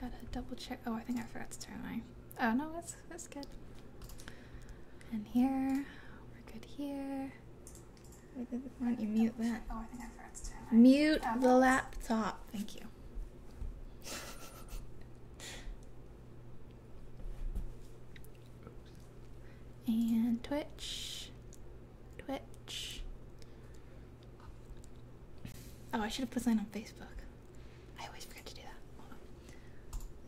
Gotta double check. Oh, I think I forgot to turn my. Oh no, that's that's good. And here, we're good here. Why you mute that? Oh, I think I forgot to turn Mute the laptop. Thank you. and Twitch. Twitch. Oh, I should have put that on Facebook. I always forget to do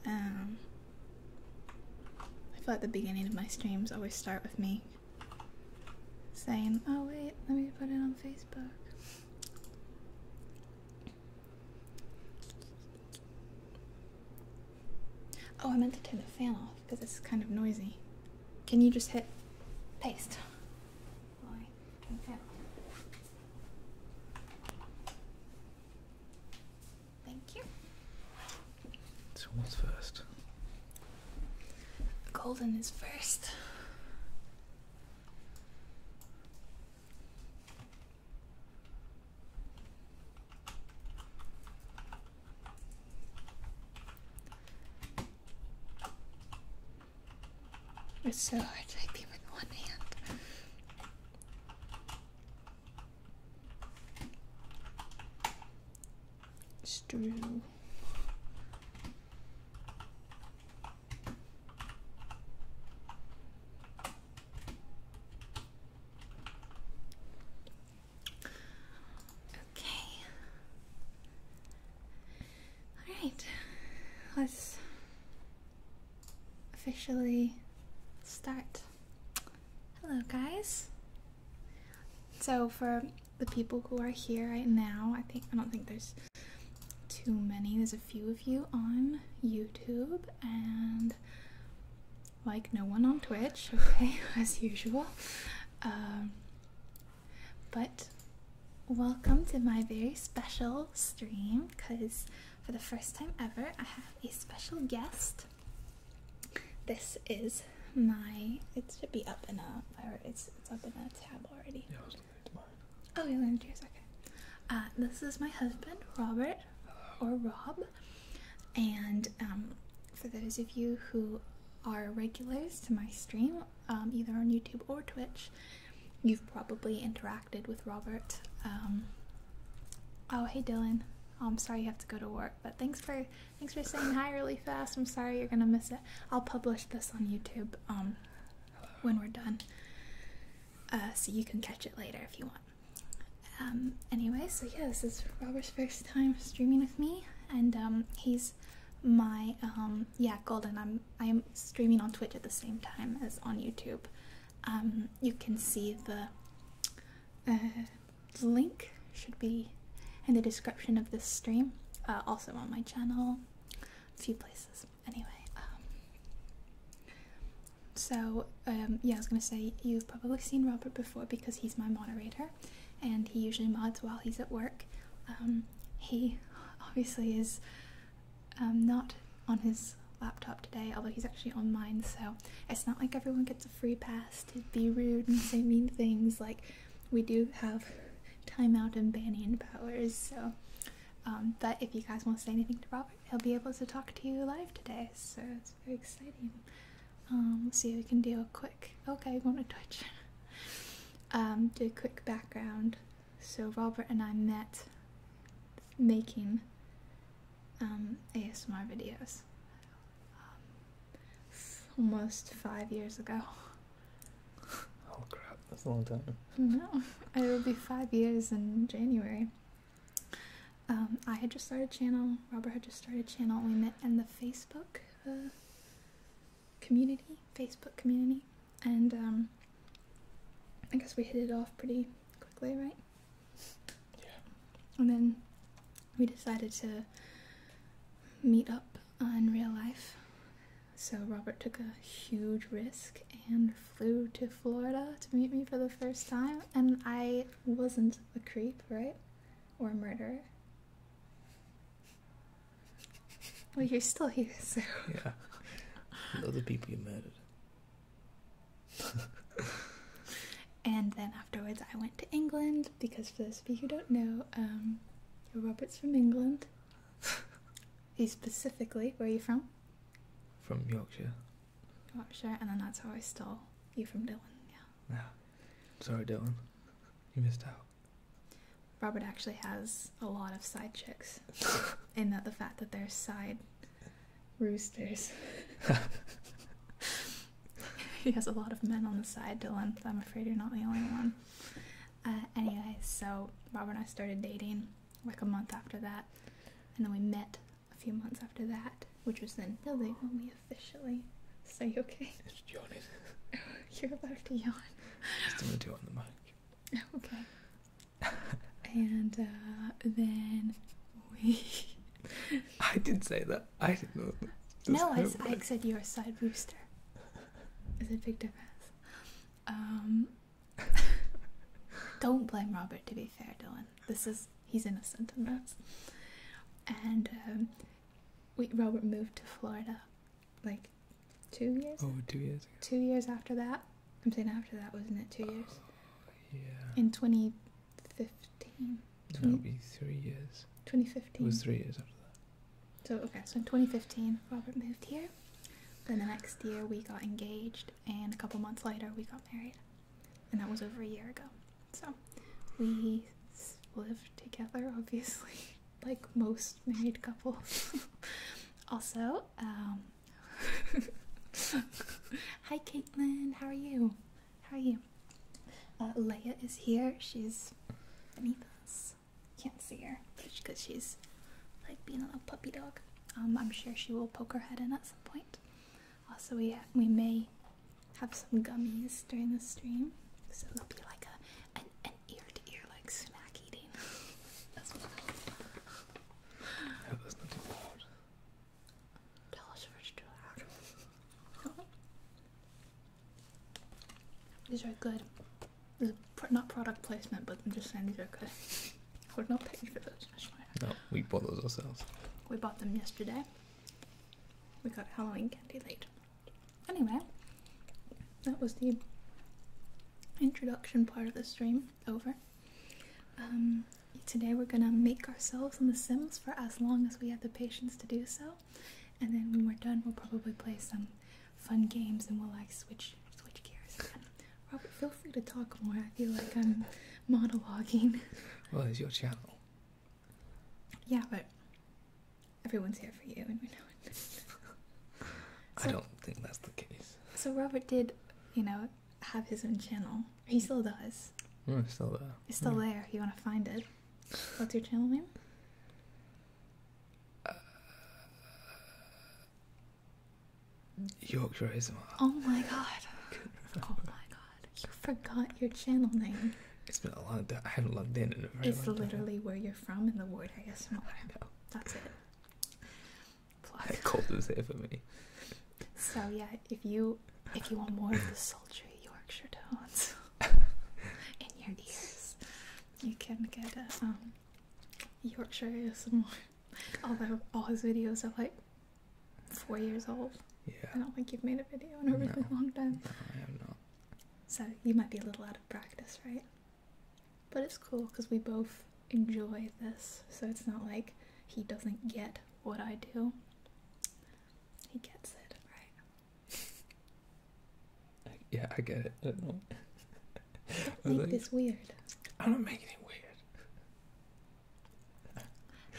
that. Um, I feel like the beginning of my streams always start with me saying, "Oh wait, let me put it on Facebook." Oh, I meant to turn the fan off because it's kind of noisy. Can you just hit paste? While turn the fan off. Thank you. So what's first? Golden is first. It's so hard to type with one hand. Strew. Okay. Alright. Let's officially start. Hello, guys. So, for the people who are here right now, I think I don't think there's too many. There's a few of you on YouTube and like no one on Twitch, okay, as usual. Um, but welcome to my very special stream because for the first time ever, I have a special guest. This is my. It should be up in a. It's, up in a tab already. Oh, you're looking at yours. Okay. Uh, this is my husband, Robert, or Rob, and um, for those of you who are regulars to my stream, um, either on YouTube or Twitch, you've probably interacted with Robert. Um, oh, hey Dylan. Oh, I'm sorry you have to go to work, but thanks for thanks for saying hi really fast. I'm sorry you're gonna miss it. I'll publish this on YouTube um, when we're done, uh, so you can catch it later if you want. Um, anyway, so yeah, this is Robert's first time streaming with me and um, he's my um, yeah golden. I'm I'm streaming on Twitch at the same time as on YouTube. Um, you can see uh, the link should be in the description of this stream. Uh, also on my channel, a few places. Anyway, so yeah, I was gonna say you've probably seen Robert before because he's my moderator and he usually mods while he's at work. Um, he obviously is um, not on his laptop today, although he's actually on mine, so it's not like everyone gets a free pass to be rude and say mean things. Like, we do have timeout and banning powers, so. Um, but if you guys want to say anything to Robert, he'll be able to talk to you live today, so it's very exciting. Um, let's see if we can do a quick. Okay, we want to Twitch. um, do a quick background. So Robert and I met making um, ASMR videos um, almost five years ago. Oh crap, that's a long time. No, it will be five years in January. I had just started a channel, Robert had just started a channel, we met in the Facebook a uh, community, Facebook community, and um, I guess we hit it off pretty quickly, right? Yeah. And then we decided to meet up in real life. So Robert took a huge risk and flew to Florida to meet me for the first time, and I wasn't a creep, right? Or a murderer. Well, you're still here, so. Yeah. Know the people you murdered. and then afterwards, I went to England because, for those of you who don't know, um, Robert's from England. He's specifically, where are you from? From Yorkshire. Yorkshire, and then that's how I stole you from Dylan, Yeah. Ah. Sorry, Dylan. You missed out. Robert actually has a lot of side chicks, and that the fact that they're side roosters. he has a lot of men on the side, Dylan. I'm afraid you're not the only one. Uh, anyway, so Robert and I started dating like a month after that, and then we met a few months after that, which was then. Philly when we officially say okay? It's yawning. You're about to yawn. Just gonna do on the mic. Okay. and uh, then we. I did say that. I didn't know. No, I, said you're a side rooster. Is a big difference. Um, don't blame Robert. To be fair, Dylan, this is he's innocent in this. And um, we Robert moved to Florida, like two years. Oh, two years. Ago. Two years after that. I'm saying after that, wasn't it? Two years. Uh, yeah. In 2015. That would be three years. 2015. It was three years after that. So okay, so in 2015, Robert moved here. Then the next year, we got engaged, and a couple months later, we got married, and that was over a year ago. So we lived together, obviously like most married couples. also, um, hi Caitlin, how are you? How are you? Uh, Leah is here. She's beneath us. Can't see her because she's like being a little puppy dog. Um, I'm sure she will poke her head in at some point. Also, we we may have some gummies during the stream. So it'll be like a an, ear to ear like snack eating. That's what I hope that's not too loud. Tell us if it's too These are good. not product placement, but I'm just saying these are good. We're not paying for those, No, we bought those ourselves. We bought them yesterday. We got Halloween candy late. Anyway, that was the introduction part of the stream over. Um, today we're gonna make ourselves in The Sims for as long as we have the patience to do so, and then when we're done, we'll probably play some fun games and we'll like switch switch gears Robert, feel free to talk more. I feel like I'm monologuing. Well, it's your channel. Yeah, but everyone's here for you, and we know it. I don't think that's the case. So Robert did, you know, have his own channel. He mm. still does. Mm, still there. It's still there. you want to find it, what's your channel name? Uh, Yorkshire Oh my god. oh my god. You forgot your channel name. It's been a long time. I haven't logged in in a very It's literally where you're from in the word ASMR. I know. That's it. Plus. That cold is So yeah, if you if you want more of the sultry Yorkshire tones in your ears, you can get a um, Yorkshire ASMR. Although all his videos are like four years old. Yeah. I don't think you've made a video in a really long time. No, I have not. So you might be a little out of practice, right? But it's cool because we both enjoy this, so it's not like he doesn't get what I do. He gets it, right? Yeah, I get it. I don't make this weird. I don't make it weird.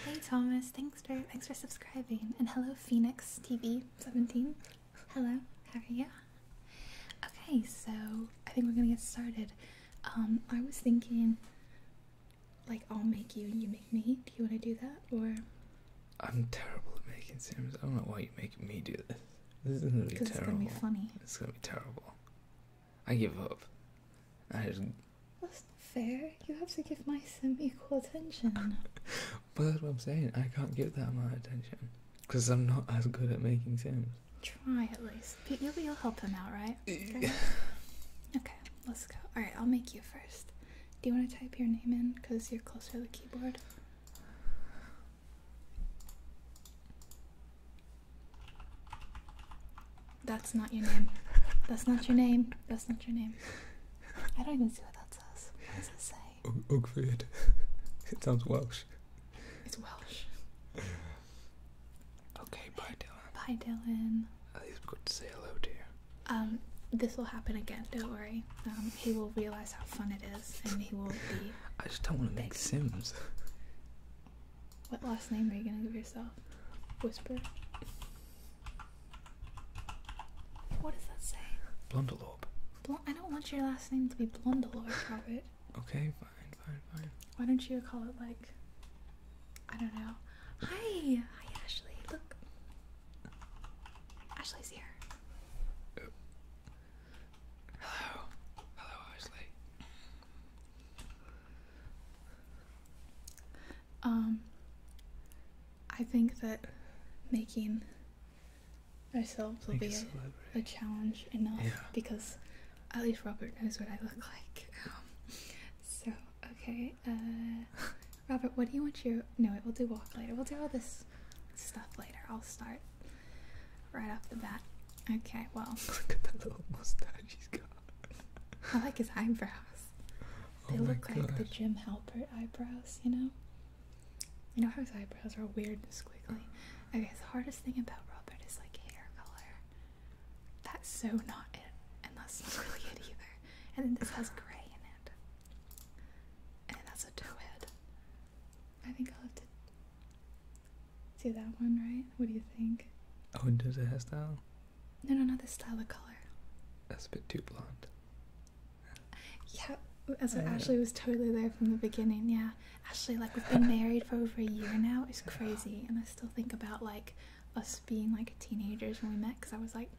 hey Thomas, thanks for thanks for subscribing, and hello Phoenix TV seventeen. Hello, how are you? Okay, so I think we're gonna get started. Um, I was thinking, like, I'll make you and you make me. Do you want to do that, or? I'm terrible at making sims. I don't know why you make me do this. This is gonna be terrible. It's gonna be funny. It's gonna be terrible. I give up. I just. That's not fair. You have to give my sim equal attention. But that's what I'm saying. I can't give that much attention because I'm not as good at making sims. Try at least. You'll, you'll help him out, right? okay, let's go. All right, I'll make you first. Do you want to type your name in because you're closer to the keyboard? That's not your name. That's not your name. That's not your name. I don't even see what that says. What does it say? say? it sounds Welsh. It's Welsh. okay, bye Dylan. Bye Dylan. At least we to say hello to Um, this will happen again, don't worry. Um, he will realise how fun it is and he will be I just don't want to make Sims. What last name are you gonna give yourself? Whisper. What does that say? Blunderlope. I don't want your last name to be or Robert. okay, fine, fine, fine. Why don't you call it like I don't know. Hi, hi Ashley. Look, Ashley's here. hello, hello Ashley. Um, I think that making ourselves will be a, challenge enough because at least Robert knows what I look like. Um, so okay, uh, Robert, what do you want your? No, we'll do walk later. We'll do all this stuff later. I'll start right off the bat. Okay, well. Look at that little mustache he's got. I like his eyebrows. They oh look like the Jim Halpert eyebrows, you know. You know how his eyebrows are weird and squiggly? Okay, the hardest thing about Robert is like hair color. That's so not it. And that's not really it either. And then this has grey in it. And then that's a toe head. I think I'll have to do that one, right? What do you think? Oh, does it have style? No, no, not the style of color. That's a bit too blonde. Yeah, as uh, Ashley was totally there from the beginning. Yeah, Ashley, like we've been married for over a year now. It's crazy, and I still think about like us being like teenagers when we met because I was like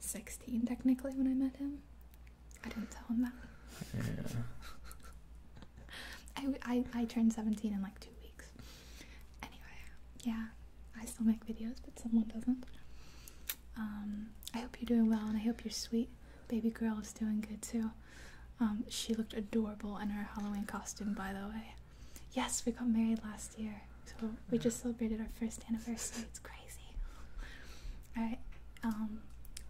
sixteen technically when I met him. I didn't tell him that. Yeah. I, I, I turned 17 in like two weeks. Anyway, yeah, I still make videos, but someone doesn't. Um, I hope you're doing well, and I hope you're sweet. Baby girl is doing good too. Um, she looked adorable in her Halloween costume, by the way. Yes, we got married last year, so we just celebrated our first anniversary. It's crazy. All right. Um,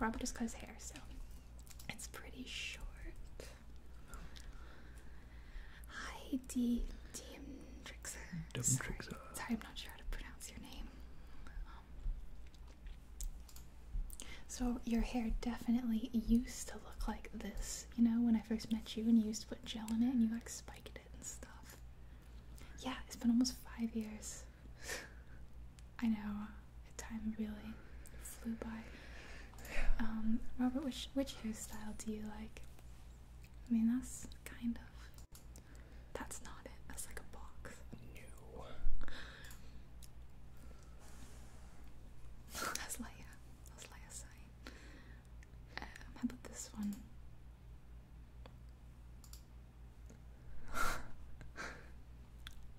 Robert just cut his hair, so it's pretty short. Hi, D. Demtrixer. Sorry, I'm not sure how to pronounce your name. So your hair definitely used to look like this, you know, when I first met you and you used to put gel in it and you like spiked it and stuff. Yeah, it's been almost five years. I know, time really flew by. Um, Robert, which which hairstyle do you like? I mean, that's kind of that's not it. That's like a box. No. That's Leia. That's Leia's sign. Um, how about this one?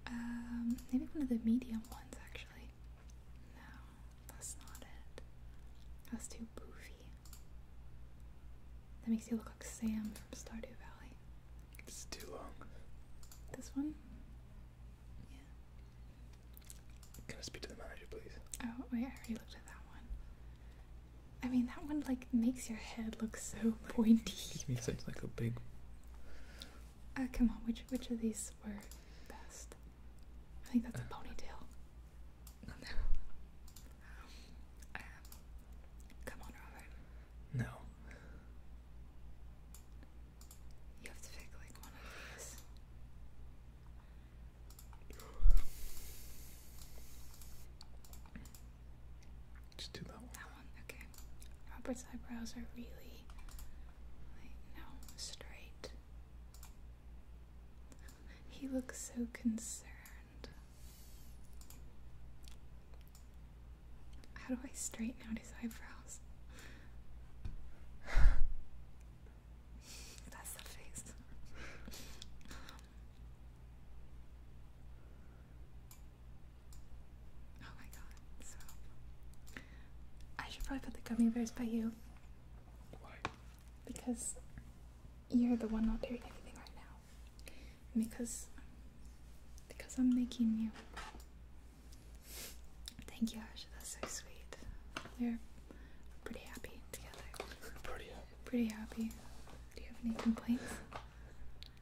um, maybe one of the medium ones actually. No, that's not it. That's too boofy. That makes you look like Sam from Stardew Valley. This is too long. This one? Yeah. Can I speak to the manager, please? Oh, wait, I already looked at that one. I mean, that one, like, makes your head look so pointy. It makes it like a big... Uh, come on, which which of these were best? I think that's a uh, ponytail. No. Um, come on, Robert. No. You have to pick like one of these. Just do that one. That one, okay. Robert's eyebrows are really like no straight. He looks so concerned. How do I straighten out his eyebrows? That's the face. oh my god, I should probably put the gummy bears by you. Why? Because you're the one not doing anything right now because because I'm making you. Thank you, Asha. That's so sweet. We're pretty happy together. Pretty happy. Pretty happy. Do you have any complaints?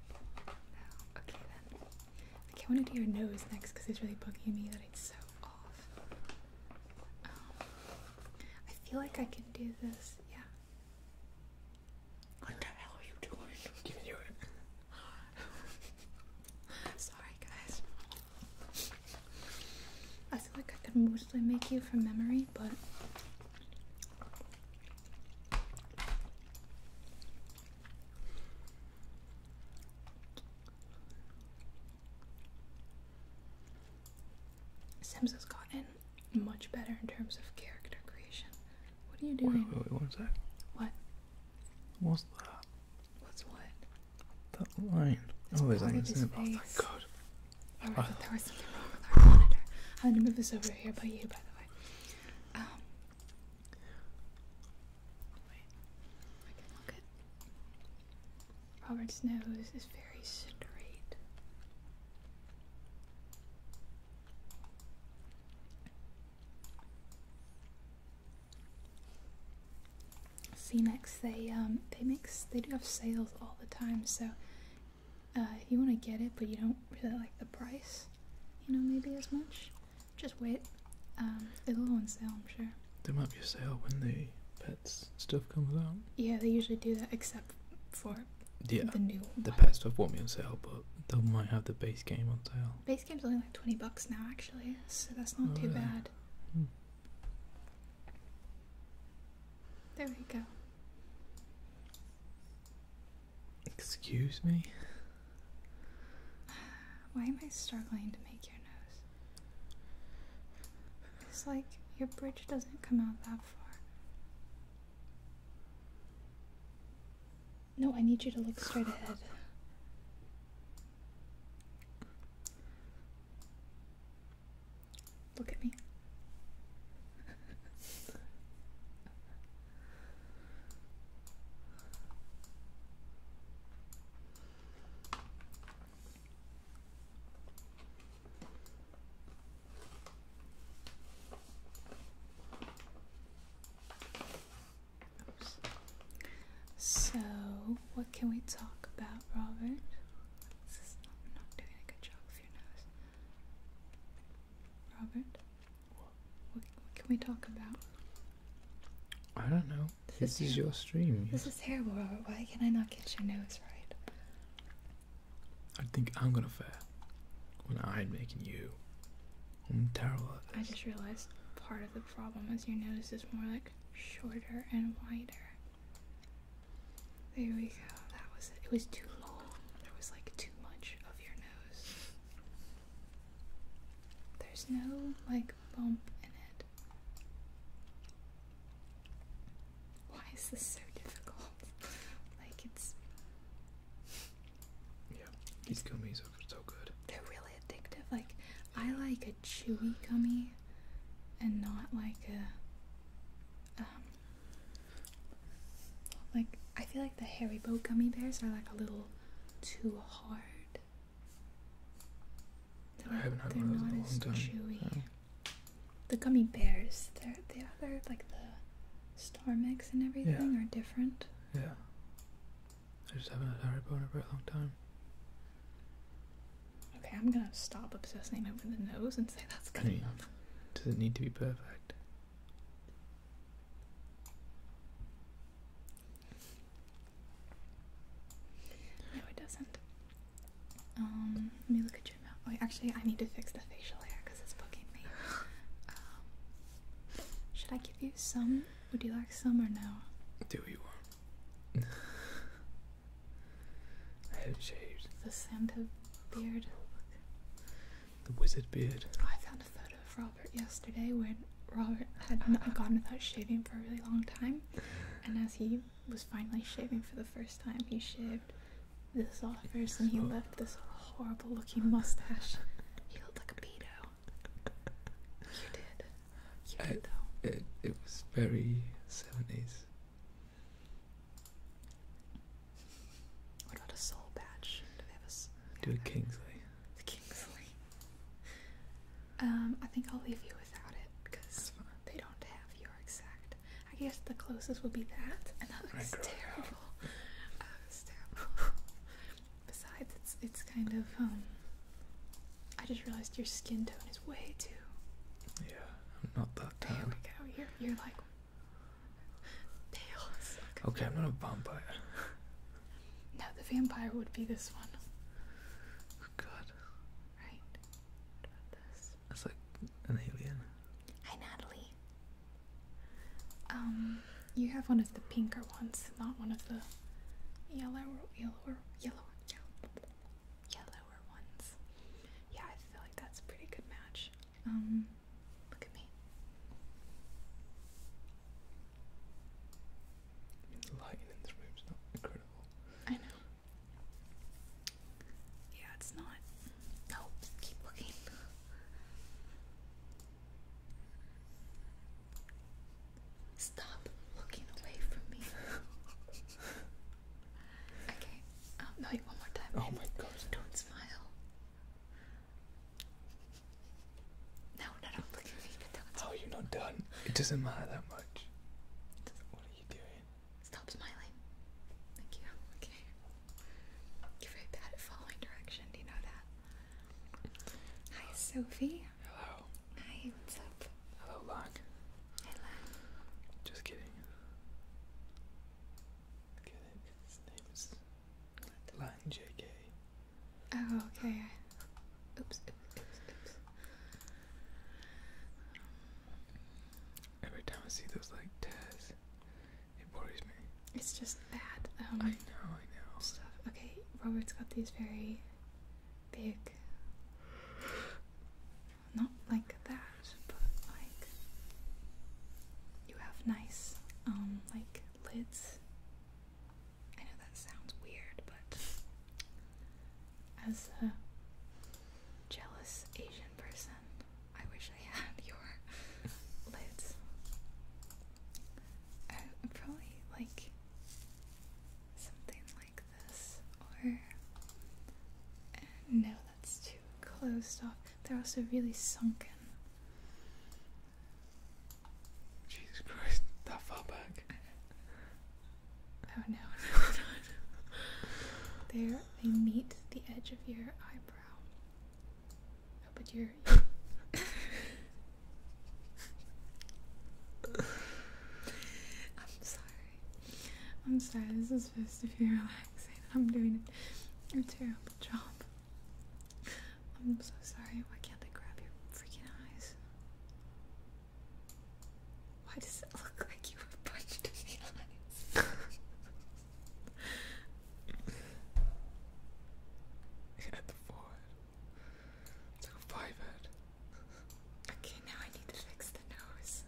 No. Okay then. Okay, I want to do your nose next because it's really bugging me that it's so off. Um, I feel like I can do this. Yeah. What the hell are you doing? giving you it. Sorry, guys. I feel like I could mostly make you from memory, but. Sims has gotten much better in terms of character creation. What are you doing? Wait, one sec. What? What's that? What's what? That line. It's oh, there's like his face. Oh, my God. Oh, right, uh, there was something wrong with our monitor. I'm gonna move this over here by you, by the way. Um, wait. I can look at. Robert's nose is very straight. CMEX they um, they make they do have sales all the time so uh, if you want to get it but you don't really like the price you know maybe as much just wait um it'll go on sale I'm sure there might be a sale when the pets stuff comes out yeah they usually do that except for yeah, the new the best of won't be on sale, but they might have the base game on sale. Base game's only like twenty bucks now, actually, so that's not too oh, bad. Hmm. There we go. Excuse me. Why am I struggling to make your nose? It's like your bridge doesn't come out that far. No, I need you to look straight ahead. Look at me. So, what can we talk about, Robert? This is not, doing a good job with your nose. Robert? What? can we talk about? I don't know. This, is, your stream. This is terrible, Robert. Why can I not get your nose right? I think I'm gonna fail when I'm making you i just realized part of the problem is your nose is more like shorter and wider. There we go. That was it. It was too long. There was like too much of your nose. There's no like bump in it. Why is this so difficult? like it's yeah, these gummies are so good. They're really addictive. Like, I like a chewy gummy and not like a. Um, like, I feel like the Haribo gummy bears are like a little too hard. They're, not as chewy. Oh. The gummy bears, they're, they are, they're like the star mix and everything are different. Yeah. I just haven't had Harry Potter for a long time. Okay, I'm gonna stop obsessing over the nose and say that's good enough. Does it need to be perfect? No, it doesn't. Um, let me look at your mouth. Wait, oh, actually, I need to fix the facial hair because it's bugging me. Um, should I give you some? Would you like some or no? Do what you want. I haven't shaved. The Santa beard. The wizard beard. I found a photo of Robert yesterday where Robert had not gone without shaving for a really long time. And as he was finally shaving for the first time, he shaved this off first and he left this off horrible looking mustache. you looked like a pedo. You did. You did, though. It, was very 70s. What about a soul badge? Do they have a. do a Kingsley. The Kingsley. Um, I think I'll leave you without it because they don't have your exact. I guess the closest would be that, and that looks terrible. Oh, Besides, it's it's kind of um, I just realized your skin tone is way too. Yeah, I'm not that tan. You're you're like pale. okay, I'm not a vampire. no, the vampire would be this one. Oh God. Right. What about this? That's like an alien. Hi, Natalie. Um, you have one of the pinker ones, not one of the yellower, yellower, yellow, yellower ones. Yeah, I feel like that's a pretty good match. Um, look at me. The lighting in this room's not incredible. I know. Yeah, it's not. No, keep looking. Stop looking away from me. okay. Um, no, one more time. Oh my god. Don't smile. No, no, no. Look at are not done? It doesn't matter that much. What are you doing? Stop smiling. Thank you. Okay. You're very bad at following direction, do you know that? Hi, Sophie. Hello. Hi, what's up? Hello, Locke. Hey, Locke. Just kidding. His name is Locke JK. Oh, okay. Oops, Every time I see those like tests, it worries me. It's just bad. Um, I know, I know. Okay, Robert's got these very big. Not like that, but like. You have nice, um, like lids. I know that sounds weird, but. As a jealous Asian person, I wish wish your lids. Uh, probably like something like this, or no, that's too closed off. They're also really sunken. Jesus Christ, that far back. Oh no. There, they meet the edge of your eyebrow. No, but you're. I'm sorry. I'm sorry. This is supposed to be relaxing. I'm doing a terrible job. I'm so sorry. Why can't I grab your freaking eyes? Why does it look like you were punched in the eyes? It's a five head. Okay, now I need to fix the nose.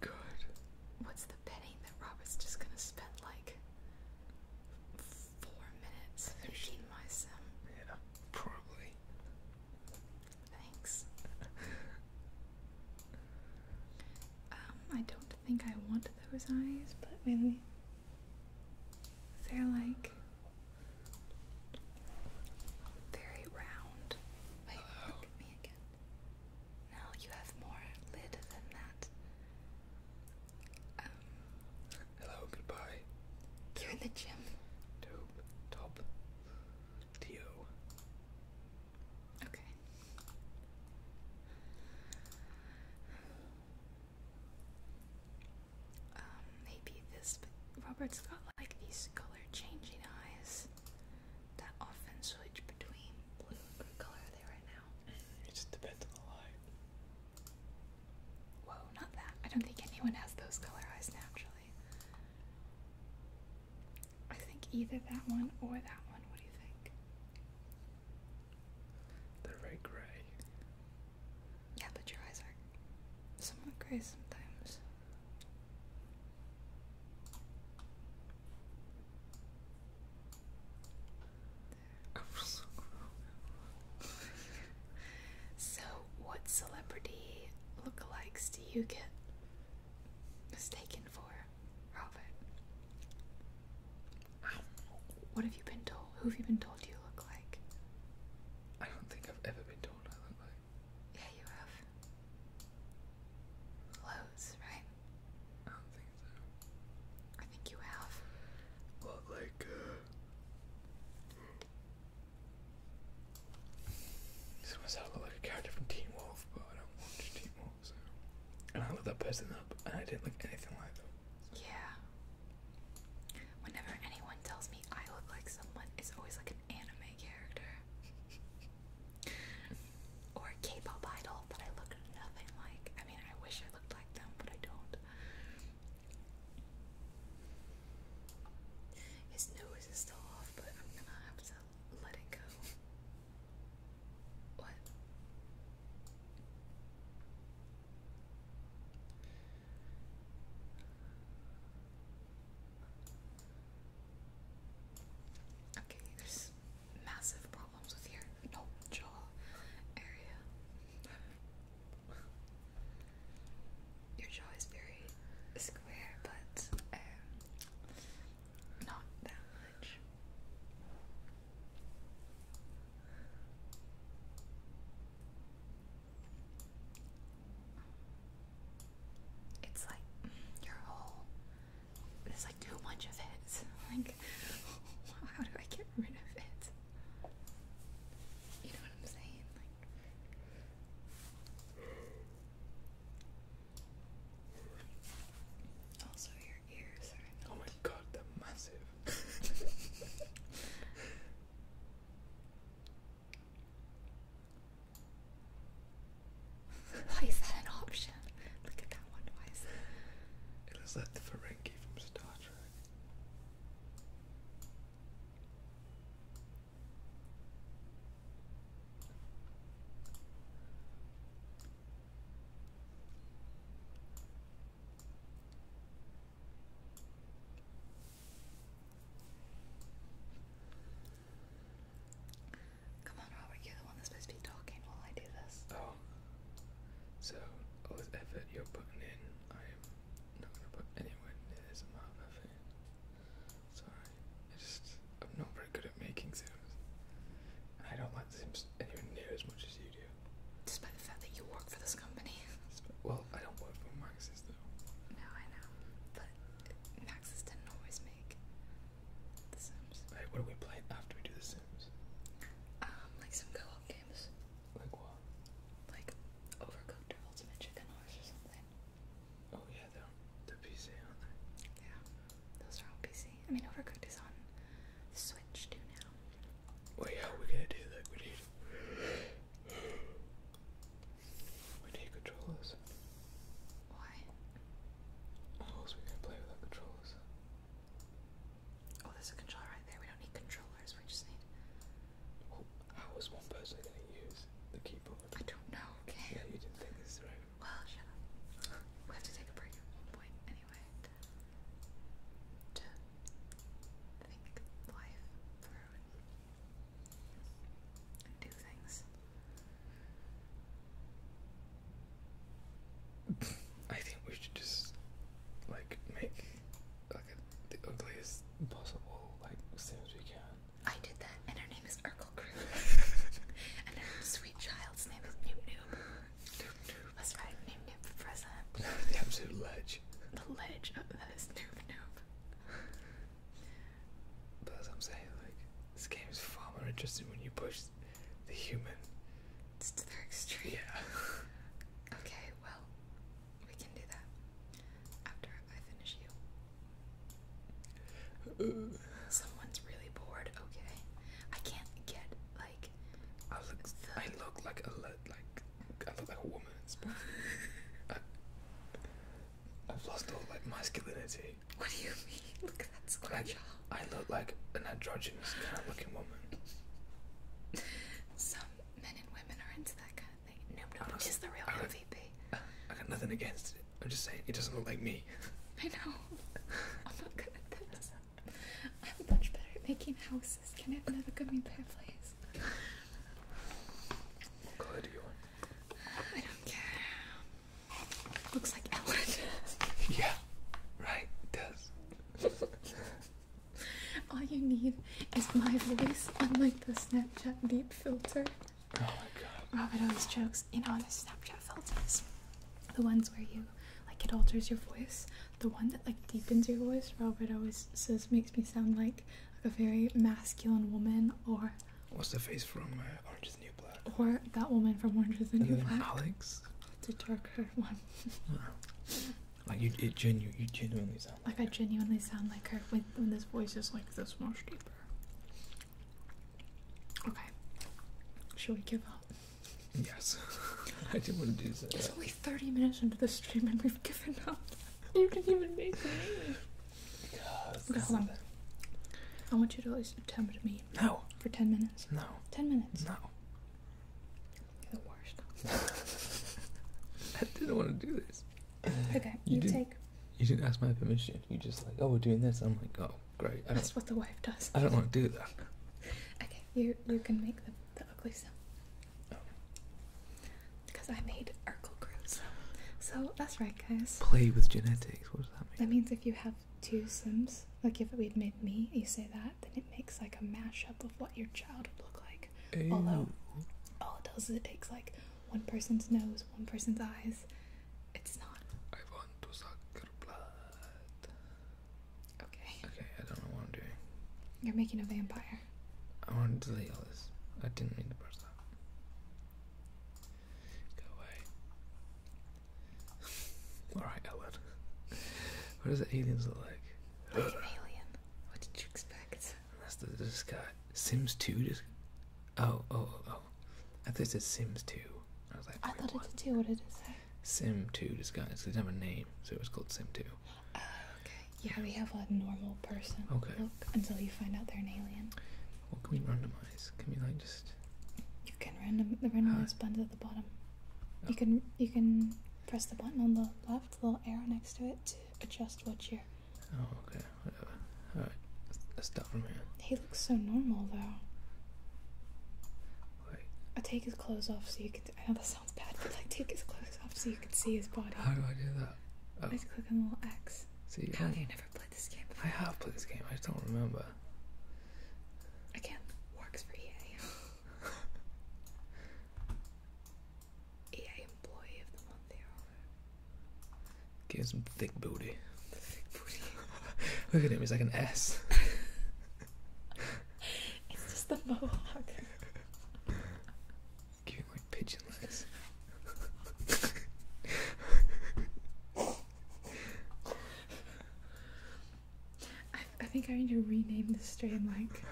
good. What's the betting that Robert's just gonna spend like four minutes Yeah, probably. Thanks. um, I don't I think I want those eyes, but when they're like very round. Wait, look at me again. Now you have more lid than that. Um, Hello, goodbye. You're in the gym. Dope, Okay. Um, maybe this, Robert's got like these color changing eyes that often switch between blue or color are they right now. It just depends on the light. Whoa, not that. I don't think anyone has those color eyes naturally. I think either that one or that one. What do you think? They're very grey. Yeah, but your eyes are somewhat grey sometimes. so, what celebrity lookalikes do you get mistaken for? Robert. What have you been told? Who have you been told you look like? I don't think I've ever been told I look like. Yeah, you have. Loads, right? I don't think so. I think you have. Well, like, uh. This must like a character from Teen Wolf, but I don't watch Teen Wolf. And I looked that person up, and I didn't look anything like them. Yeah. Whenever anyone tells me I look like someone, it's always like an anime character. or a K-pop idol that I look nothing like. I mean, I wish I looked like them, but I don't. His nose is still off, but I'm gonna have to let it go. What? Okay, there's massive problems with your jaw area. Your jaw is very square, but um, not that much. It's like mm, your whole. There's like too much of it. Like, how do I get rid of it? You know what I'm saying? Also, your Oh my god, they're massive. is that an option? Look at that one twice. It looks the Ferengi from Star Trek. Come on, Robert, you're the one that's supposed to be talking while I do this. Oh. So, all this effort you're putting in, I am not going to put anywhere near this amount of effort. Sorry. I just, I'm not very good at making sounds. I don't like not anywhere near as much as you do. Despite the fact that you work for this company. Well, I don't work for Maxis though. No, I know. But Maxis didn't always make The Sims. what do we play after we do The Sims? Um, like some co-op games. Like what? Like Overcooked or Ultimate Chicken Horse or something. Oh yeah, they're on the PC, aren't they? Yeah. Those are on PC. I mean, Overcooked is on Switch too now. Well, yeah, we gonna do that. We need. We need controllers. Why? How else are we gonna play without controllers? Oh, there's a controller right there. We don't need controllers. We just need. how is one person gonna use the keyboard? I don't know. Okay. Yeah, you didn't think this through. Well, shut up. We have to take a break at one point anyway. I think we should just like make like the ugliest possible like as soon as we can. I did that, and her name is Urkel Crew, and her sweet child's name is Noob that's right, name Noob for the absolute ledge. The ledge that is Noob Noob. But I'm saying, like, this game is far more interesting when you push the human. to their extreme. Yeah. okay, well, we can do that after I finish you. Someone's really bored, okay? I can't get, like, like I look the... I look like a like I look like a woman. I, I've lost all like masculinity. What do you mean? Look at that square like, jaw. I look like an androgynous kind of looking woman. Some men and women are into that kind of thing. Noob Noob is the real I got, MVP. I got nothing against it. I'm just saying it doesn't look like me. I know. I'm not good at this. I'm much better at making houses. Can I have another gummy bear, please? Go ahead, you want. I don't care. Looks like Ellen. yeah, right, does. All you need is my voice, unlike the Snapchat deep filter. Oh my god. Robert always jokes, in know, the Snapchat filters the ones where you like it alters your voice the one that like deepens your voice robert always says makes me sound like, like a very masculine woman or what's the face from uh, orange is the new black or that woman from orange is the new black alex it's a darker one like you it genu you genuinely sound like, i genuinely sound like her when, when this voice is like this much deeper okay should we give up Yes, I didn't want to do this. It's only 30 minutes into the stream and we've given up. You didn't even make it. name. hold on. I want you to at least attempt me. No. For 10 minutes. No. 10 minutes. No. the worst. I didn't want to do this. Okay, you, you take. You didn't ask my permission. You just like, oh, we're doing this. I'm like, oh, Great. That's what the wife does. I don't want to do that. Okay, you you can make the, the ugly sound. Because I made Urkel Cruz. So that's right, guys. Play with genetics. What does that mean? That means if you have two Sims, like if we'd made me, you say that, then it makes like a mashup of what your child would look like. Although, all it does is it takes like one person's nose, one person's eyes. It's not. Okay. Okay, I don't know what I'm doing. You're making a vampire. I want to delete all this. I didn't mean to brush that. Go away. Alright, Ellen. What does the aliens look like? alien. What did you expect? That's the, this Sims 2 Oh, oh, oh, I thought it was Sims 2. I was like, I thought it did too. What did it say? Sim 2 disguise. They didn't have a name, so it was called Sim 2. okay. Yeah, we have a normal person okay. look until you find out they're an alien. Well, can we randomize? Can we, like, just. You can random the randomize huh? button's at the bottom. Oh. You can you can press the button on the left, little arrow next to it, to adjust what you're. Oh, okay. Whatever. Alright. Let's, let's start from here. He looks so normal, though. i take his clothes off so you can could. I know oh, that sounds bad, but like take his clothes off so you could see his body. How do I do that? Oh. Just click on the little X. See, How I, do you never played this game before? I have played this game, I just don't remember. Again, works for EA. EA employee of the month they are. Give him some thick booty. Thick booty. Look at him, he's like an S it's just the mohawk. Giving like pigeon legs. I, think I need to rename this strain like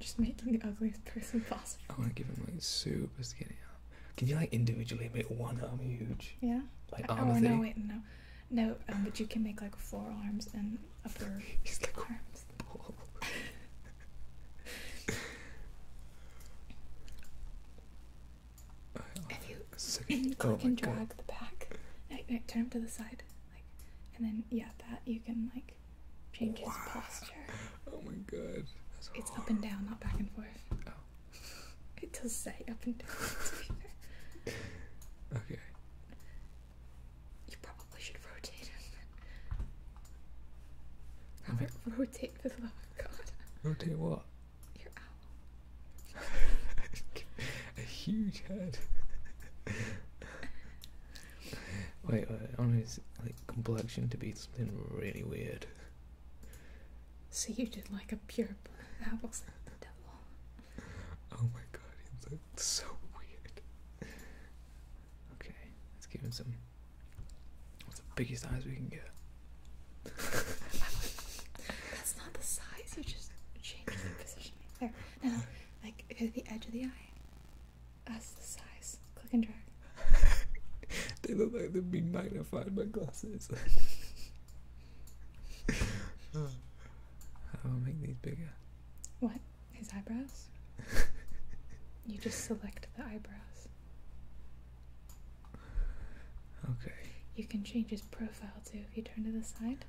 just making the ugliest person possible. I want to give him like super skinny arm. Can you like individually make one arm huge? Yeah. Like arm Oh no! Wait, no. No, um, but you can make like forearms and upper arms. you oh, oh can drag the back, turn him to the side, like, and then yeah, that you can like change his posture. Oh my God. it's up and down, not back and forth. Oh. It does say up and down. okay. You probably should rotate it. rotate this, the love of God. Rotate what? Your owl. A huge head. Wait, I want his like complexion to be something really weird. So you did like a pure that was the devil oh my god, he looked so weird. Okay, let's give him some. What's the biggest size we can get? That's not the size, you just change the position. There. No, no, like to the edge of the eye. That's the size. Click and drag. they look like they'd be magnified by glasses. How do I make these bigger? What? His eyebrows? you just select the eyebrows. Okay. You can change his profile too if you turn to the side.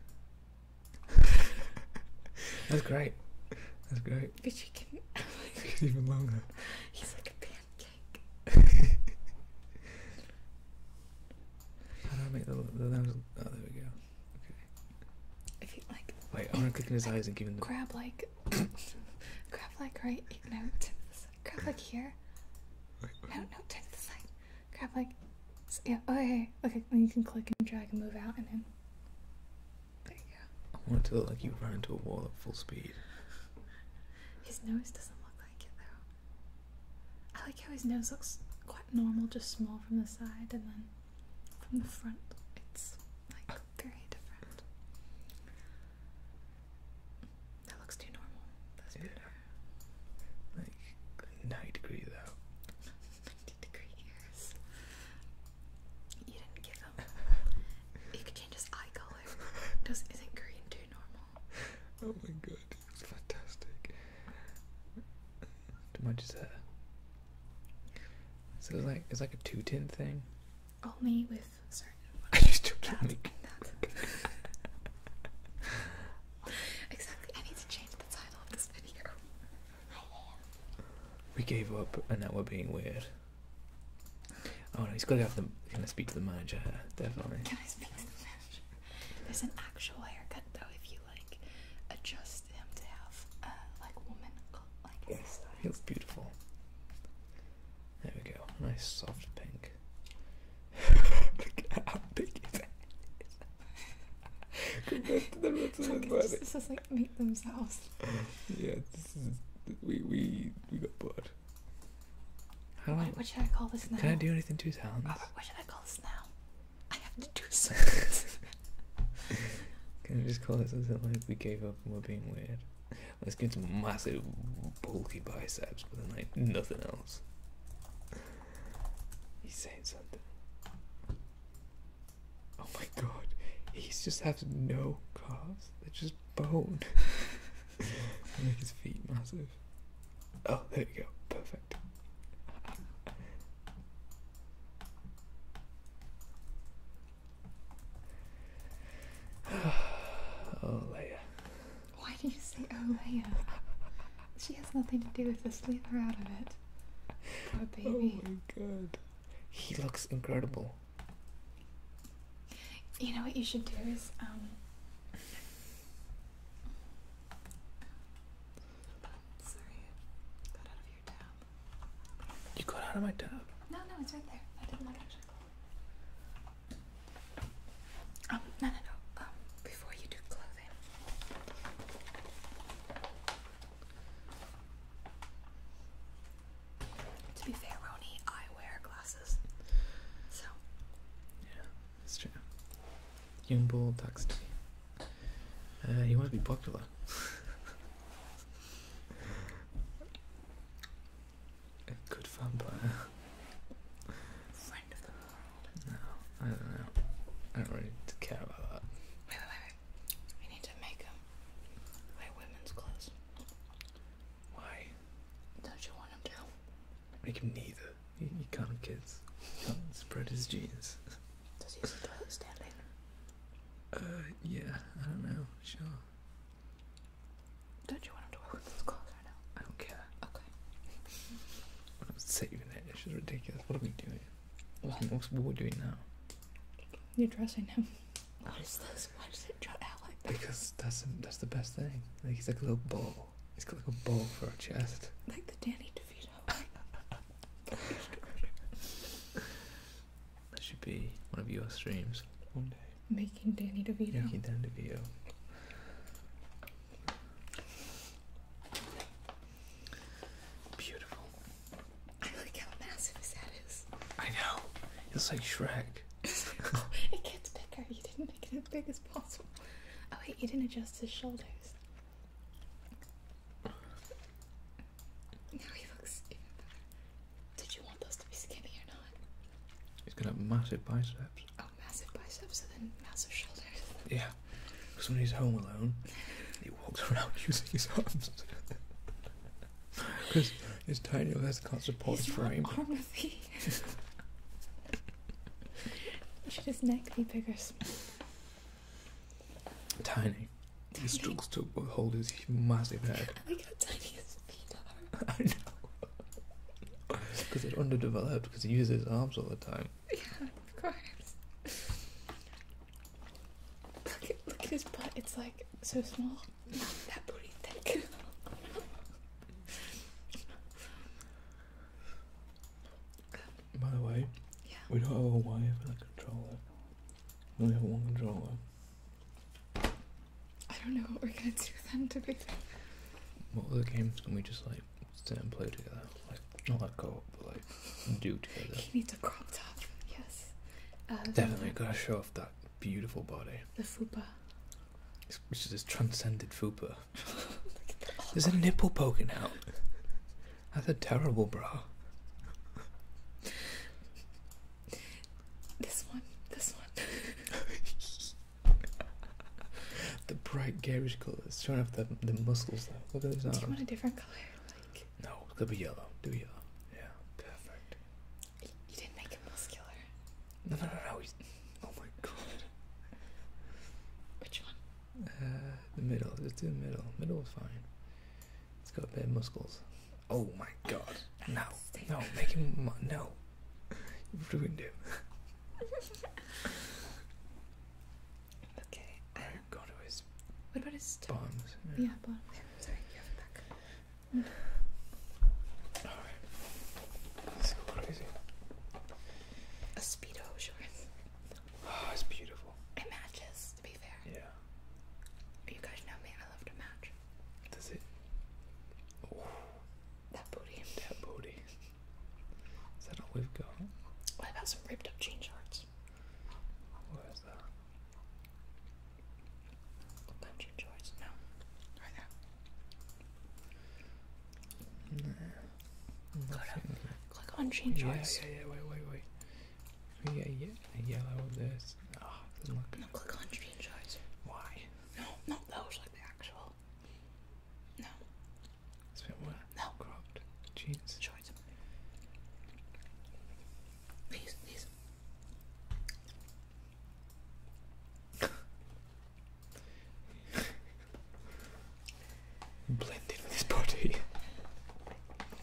That's great. That's great. But you can. Oh it's even longer. He's like a pancake. How do I make the, Oh, there we go wait, I want to click in his eyes and give him the grab like, grab like right. No, Grab like here. No, no, turn the side. Grab like, oh, yeah. Okay, okay. you can click and drag and move out and then. There you go. I want it to look like you run into a wall at full speed. His nose doesn't look like it though. I like how his nose looks quite normal, just small from the side, and then from the front. It's like very different. That looks too normal. That's yeah. better. Like ninety degrees out. ninety degrees. You didn't give him. you could change his eye color. Does isn't green too normal? Oh my god, it's fantastic. Too much is that? it's like it's like a two tin thing. Only with certain. I just don't exactly. I need to change the title of this video. We gave up, and now we're being weird. Oh no, he's got to have the. Can I speak to the manager? Definitely. Can I speak to the manager? There's an actual haircut though if you like adjust him to have uh, like woman like yeah, hairstyles. He looks beautiful. There we go. Nice soft pink. Look at how big his head is. Compared to the rest of his body. This is like make themselves. yeah, this is we we we got bored. How what, what should I call this now? Can I do anything to his hands? Robert, what should I call this now? I have to do something. Can I just call it something like we gave up on being weird? Let's get some massive, bulky biceps, but then like nothing else. He's saying something. Oh my god, he just has no calves. They're just bone. Make his feet massive. Oh, there you go. Perfect. oh, Leia. Why do you say oh, Leia? she has nothing to do with the Leave her out of it. Poor oh, baby. Oh my god. He looks incredible. You know what you should do is, um, Sorry, got out of your tab. You got out of my tab? No, no, it's right there. I didn't look actually. Um, no, no, no. Um, before you do clothing. To be fair, Roni, I wear glasses. So. Yeah, that's true. Yunbull talks to me he uh, wants to be popular. A good vampire. No, I don't know. I don't really care about that. Wait, wait, wait, We need to make him wear women's clothes. Why? Don't you want him to? Make him neither. You, can't, kids. spread his genes. Does he use the toilet standing? Uh, yeah, I don't know, sure. Don't you want him to work with those clothes right now? I don't care. Okay. I'm saving it, it's just ridiculous. What are we doing? What, what's, what are we doing now? You're dressing him. What is this? Why does it jut out like that? Because that's, that's the best thing. Like, he's like a little ball. He's got like a ball for a chest. Like the Danny DeVito that should be one of your streams one day. Making Danny DeVito. Making Danny DeVito. Beautiful. I how massive that is. I know. It's like Shrek. it gets bigger. You didn't make it as big as possible. Oh wait, you didn't adjust his shoulders he looks even He's gonna have massive biceps. Oh, massive biceps and then massive shoulders. Yeah, because when he's home alone, he walks around using his arms. Because his tiny legs can't support his frame. Should his neck be bigger? Tiny. He struggles to hold his massive head. I like how tiny his feet are. I know. Because it's underdeveloped, because he uses his arms all the time. Yeah, of course. Look at, look at his butt, it's like so small. Not that pretty thick. By the way, yeah. we don't have a wire for the controller. We only have one controller. I don't know what we're gonna do then to be fair. What other games can we just like sit and play together? Like not like co-op, but like do together. He needs a crop top. Yes. Um, Definitely gotta show off that beautiful body. The fupa. Which is this transcended fupa. There's a nipple poking out. That's a terrible bra. This one, this one. the bright garish colours, showing off the the muscles. Though. Look at this arm. Do you want a different colour? Like no, it could be yellow. Do yellow. Yeah, perfect. You, didn't make him muscular. No, no, no, no. He's... Oh my god. Which one? Uh, the middle. Let's do the middle. Middle is fine. It's got bad muscles. Oh my god. No. No. Make him. No. You've ruined him. okay. it um, What about his bombs? Yeah, bombs. Yeah, sorry, you crazy. A Speedo, sure. Oh, it's beautiful. It matches, to be fair. Yeah. You guys know me, I love to match. Does it? That booty. That booty. Is that all we've got? What about some ripped up jean shorts? What is that? No. Click on jean shorts. Yeah, yeah, yeah, wait, wait, wait we get a, yellow of this? Oh, ah, it doesn't look good. No, click on screenshots. Why? No, not those, like the actual. No. It's a bit what? No. Cropped. Jeans. Shorts. These, these blend with his body.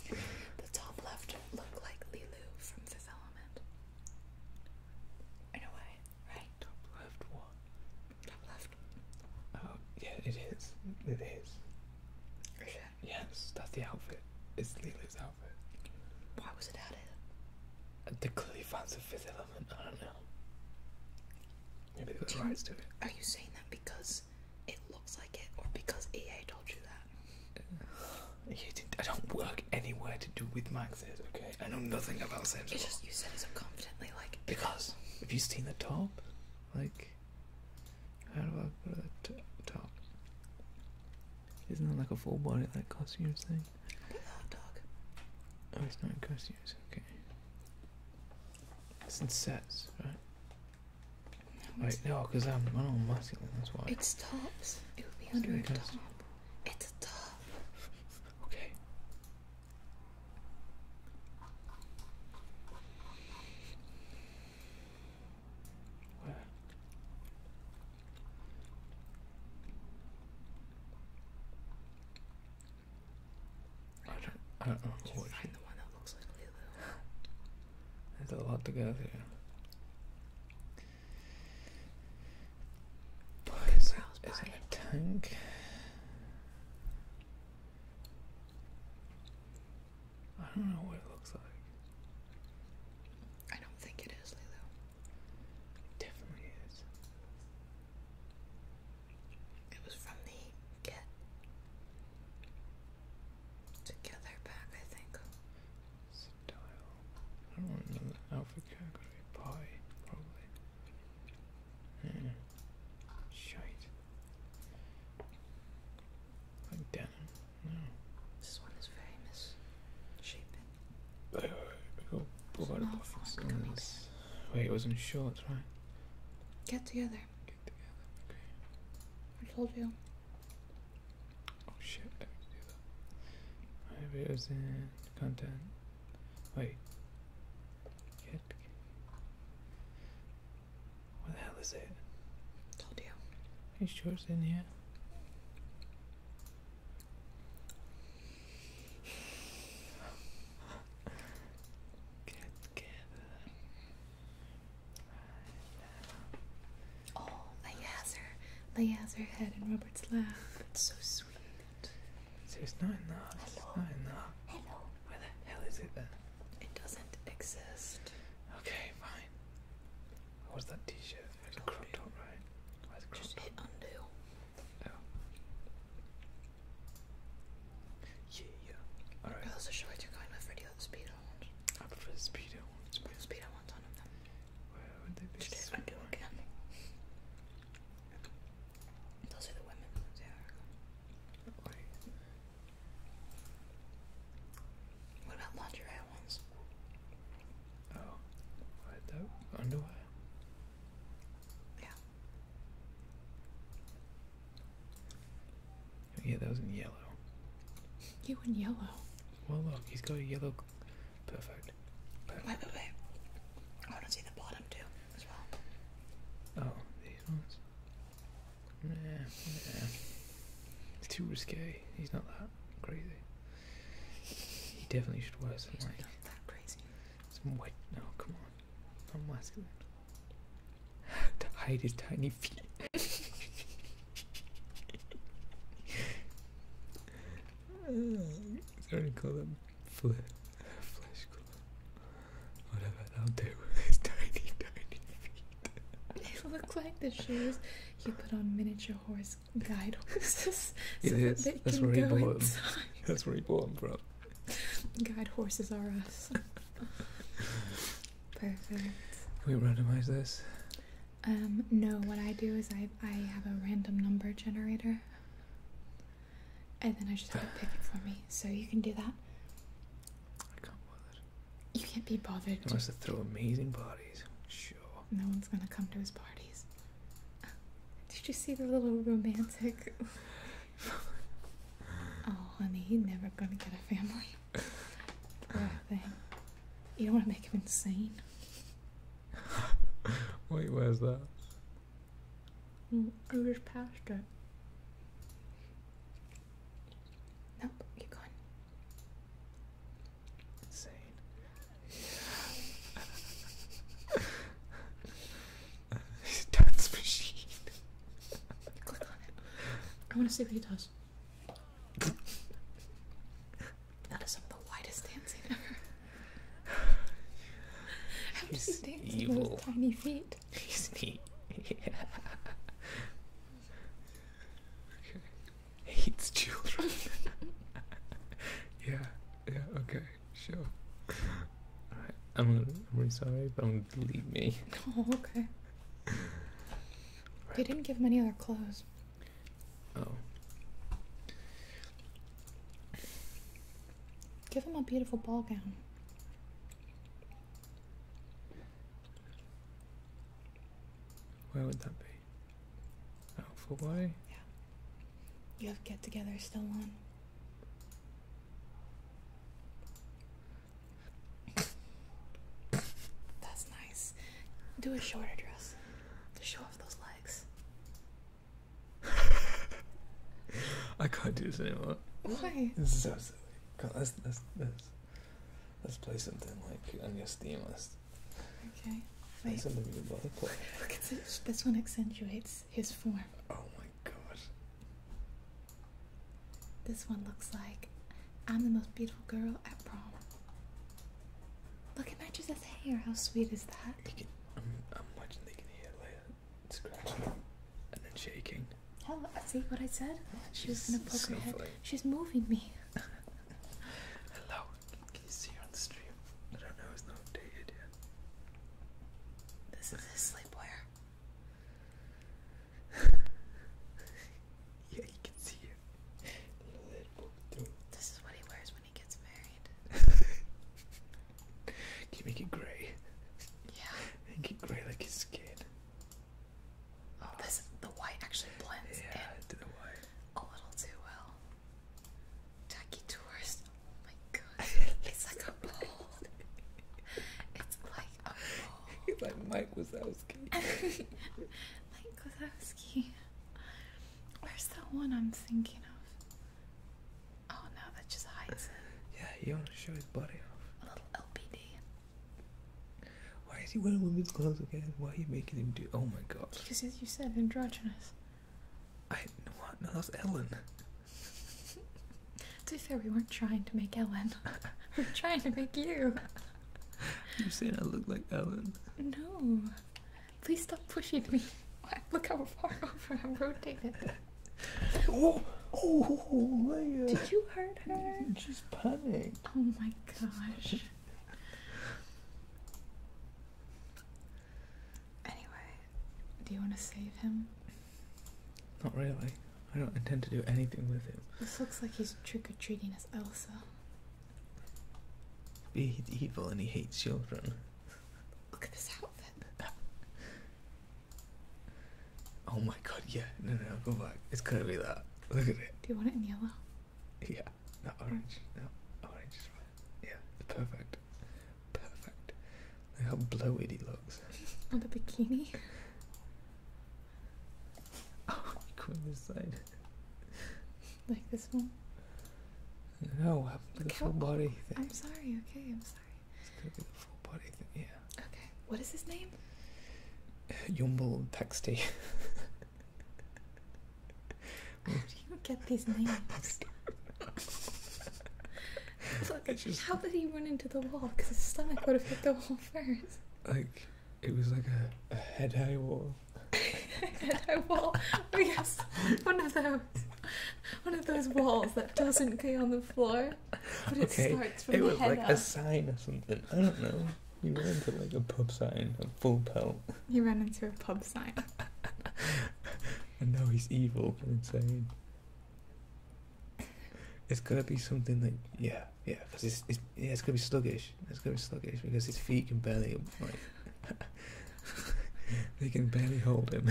the top left looked like Lilu from Fifth Element. In a way, right? Top left one. Top left. Oh, yeah, it is. It is. Yes, that's the outfit. It's Lilu's outfit. Why was it added? The clearly fans of Fifth Element, I don't know. Maybe they got the rights to it. Are you saying that because it looks like it, or because EA told you that. I don't work anywhere to do with Maxes, okay? I know nothing about Sims. It's just you said it so confidently, like because. Have you seen the top? Like, how do I put the top? Isn't that like a full body like costume thing? Oh, it's not in costumes. Okay. It's in sets, right? No, Wait, no, because I'm, I'm all muscular, that's why. It's tops. It would be under a top. It's a top. okay. Where? I don't, I don't know. There's a lot to go through. Is, it, is it a tank? I don't know what it looks like. I don't think it is, Lilo. definitely is. It was from the Get together back, I think. Style. I don't want another alpha category. probably. Hmm. Shite. Like denim. No. This one is very misshapen. Wait, wait, wait. Go, Wait, it wasn't shorts, right? Get together. I told you. Oh shit, I was to content. Wait. Get. What the hell is it? Told you. Are you sure it's in here? Get together. Oh, Layazer. Layazer head in Robert's lap. It's so sweet. See, it's not enough. It's Hello. not enough. Hello. Where the hell is it then? It doesn't exist. Okay, fine. What that t shirt? It was right? Just hit undo. Oh. Yeah, yeah. Alright. should I do kind of video the speedo ones? I prefer the speedo ones. speedo ones on them. I do again? Those are the women What about lingerie ones? Oh, underwear? Yeah. Yeah, that was in yellow. You in yellow. Well, look, he's got a yellow. Perfect. Perfect. Wait, wait, I want to see the bottom too, Oh, these ones? Nah, nah. It's too risque. He's not that crazy. He definitely should wear some he's Some white. No, come on. I'm to hide his tiny feet. Sorry call them fle flesh Whatever, that'll do. His tiny, tiny feet. they look like the shoes you put on miniature horse guide horses. so it is. That That's where he bought them. That's where he bought them from. Guide horses are us. Perfect. Can we randomize this? Um, no, what I do is I, I have a random number generator. And then I just have it pick it for me. So you can do that. I can't bother. You can't be bothered. He wants to throw amazing parties. Sure. No one's gonna come to his parties. Did you see the little romantic? oh, honey, he's never gonna get a family. You don't want to make him insane. Wait, where's that? Mm, I was it. Nope, keep going. Insane. Dance machine. Click on it. I want to see what he does. That is some of the widest dancing ever. He's evil. tiny feet. He's neat. Yeah. Hates children. yeah. Yeah. Okay. Sure. i right. I'm. I'm really sorry, but I'm gonna delete me. Oh, okay. They didn't give him any other clothes. Oh. Give him a beautiful ball gown. Where would that be? Oh, for why? Yeah. You have get together still on. That's nice. Do a shorter dress to show off those legs. I can't do this anymore. Why? This is so silly. let's, let's, let's, let's play something like on your Steam list. Okay. this one accentuates his form. Oh my god. This one looks like I'm the most beautiful girl at prom. Look, it matches his hair. How sweet is that? I'm, I'm watching they can hear Leia scratching and then shaking. Oh, see what I said? She She's was gonna poke her head. Funny. She's moving me. Hello, can you see on the stream? I don't know, it's not updated yet. This is his sleepwear. yeah, you can see it. This is what he wears when he gets married. can make it grey? Yeah. Make it grey like his skin. Oh, this the white actually blends in a little too well. Tacky tourist. Oh my god. it's like a bald. It's like He's like Mike Wazowski. Mike Wazowski. Where's that one I'm thinking of? Oh no, that's just hides Yeah, you want to show his body off. A little LPD. Why is he wearing women's clothes again? Why are you making him do? Oh my god. Because as you said, androgynous. I no what? No, that's Ellen. to be fair, we weren't trying to make Ellen. we're trying to make you. You're saying I look like Ellen? No. Please stop pushing me. Look how far over I'm rotated. oh, oh, Leia. Did you hurt her? You just panicked. Oh my gosh. anyway, do you want to save him? Not really. I don't intend to do anything with him. This looks like he's trick or treating as Elsa. He's evil and he hates children. Look at this outfit. Oh my god, yeah. No, no, go back. It's gonna be that. Look at it. Do you want it in yellow? Yeah. Not orange. No, orange is fine. Yeah, perfect. Perfect. Look how blowy he looks. On the bikini? Oh, go this side. like this one? No, uh, the full body thing. I'm sorry, okay, I'm sorry. It's gonna be the full body thing, yeah. Okay, what is his name? Yumble Texty. How do you get these names? how did he run into the wall? Because his stomach would have hit the wall first. Like, it was like a, a head high wall. head high wall. yes, one of those, one of those walls that doesn't go on the floor, but it okay. starts from it was like a sign or something. I don't know. You ran into like a pub sign, a full pelt. You ran into a pub sign. and now he's evil and insane. It's gotta be something like yeah, yeah, because it's, yeah, it's gonna be sluggish. It's gonna be sluggish because his feet can barely like they can barely hold him.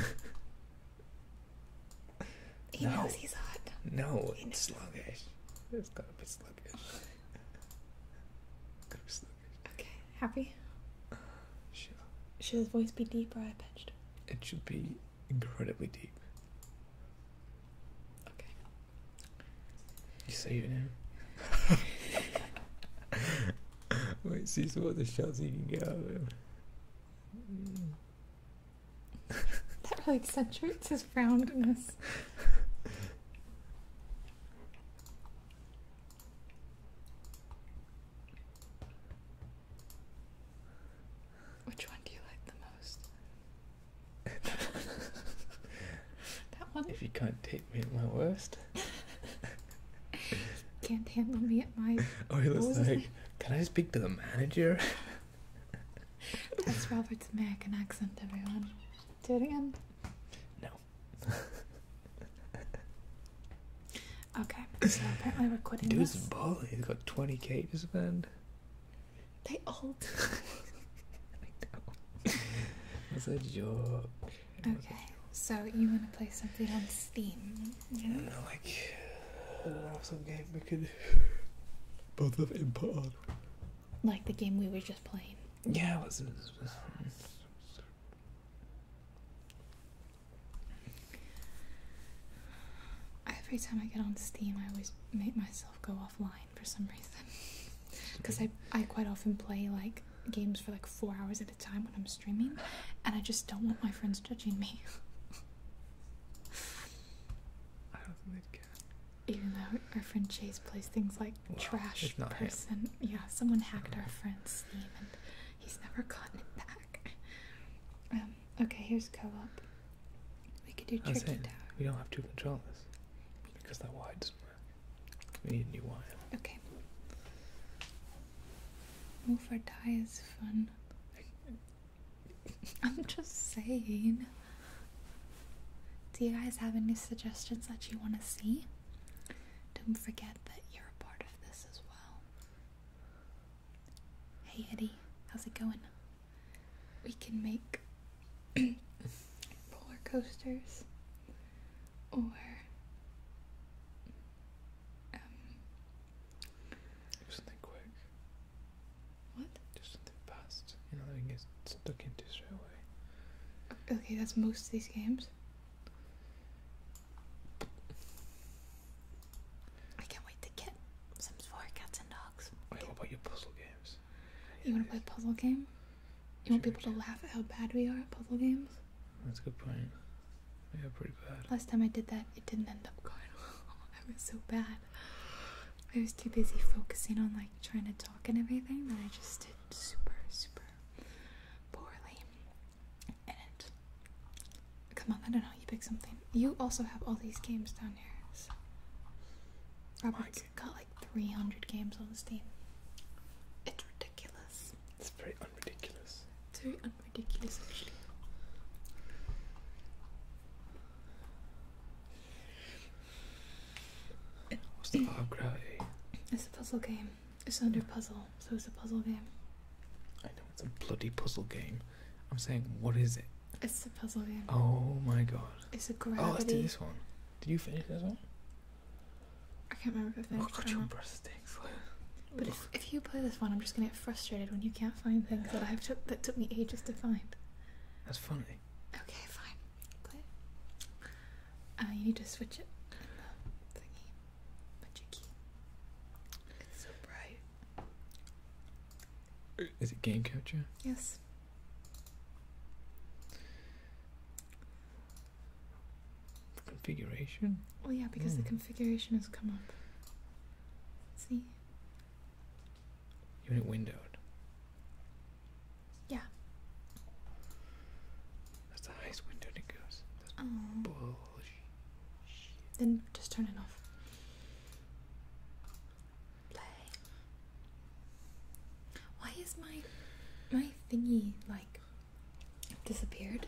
He knows he's hot. No, it's sluggish. It's going to be sluggish. gotta be sluggish. Okay, happy. sure. Should his voice be deep or high pitched? It should be incredibly deep. Okay. You see it now. Wait, see so what the shots you can get out that really accentuates his roundness. Which one do you like the most? If you can't take me at my worst, can't handle me at my. Oh, "Can I speak to the manager?" That's Robert's American accent, everyone. Do it again. No. okay, so apparently we're quitting Dude's this. He's got 20k to spend. They all do. It's a joke. Okay, so you want to play something on Steam? Yeah. like, I do game we could both have input on. Like the game we were just playing. Yeah, it was. It Every time I get on Steam, I always make myself go offline for some reason because I, I quite often play like games for like four hours at a time when I'm streaming and I just don't want my friends judging me. I don't think they can. Even though our friend Chase plays things like trash person. Yeah, someone hacked our friend's Steam and he's never gotten it back. Um, okay, here's co op. We could do Tricky We don't have two controllers because that wire doesn't work. We need a new wine. Okay. Move or die is fun. I'm just saying. Do you guys have any suggestions that you want to see? Don't forget that you're a part of this as well. Hey Eddie, how's it going? We can make roller coasters or um, do something quick. What? Do something fast. You know that we get stuck into straight away. Okay, that's most of these games. I can't wait to get Sims 4 cats and dogs. what about your puzzle games? You wanna play puzzle game? You won't be able to laugh at how bad we are at puzzle games? That's a good point. We are pretty bad. Last time I did that, it didn't end up going well. I was so bad. I was too busy focusing on like trying to talk and everything that I just did super, super poorly. And come on, I don't know. You pick something. You also have all these games down here. So. Robert's Cup like 300 games on Steam. It's ridiculous. It's very unridiculous. Too unridiculous, actually. What's the vibe gravity? It's a puzzle game. It's under puzzle, so it's a puzzle game. I know it's a bloody puzzle game. I'm saying, what is it? It's a puzzle game. Oh my god. It's a oh, gravity. Oh, let's do this one. Did you finish this one? I can't remember if I finished. Oh God, your one. breath stinks. but if, if you play this one, I'm just gonna get frustrated when you can't find things that I've took that took me ages to find. That's funny. Okay, fine. Play it. Uh, you need to switch It's it game capture? Yes. Configuration? Well, yeah, because the hmm. configuration has come up. Let's see. Unit windowed. Yeah. That's the highest window it goes. bullshit. Then just turn it off play. Why is my my thingy like disappeared?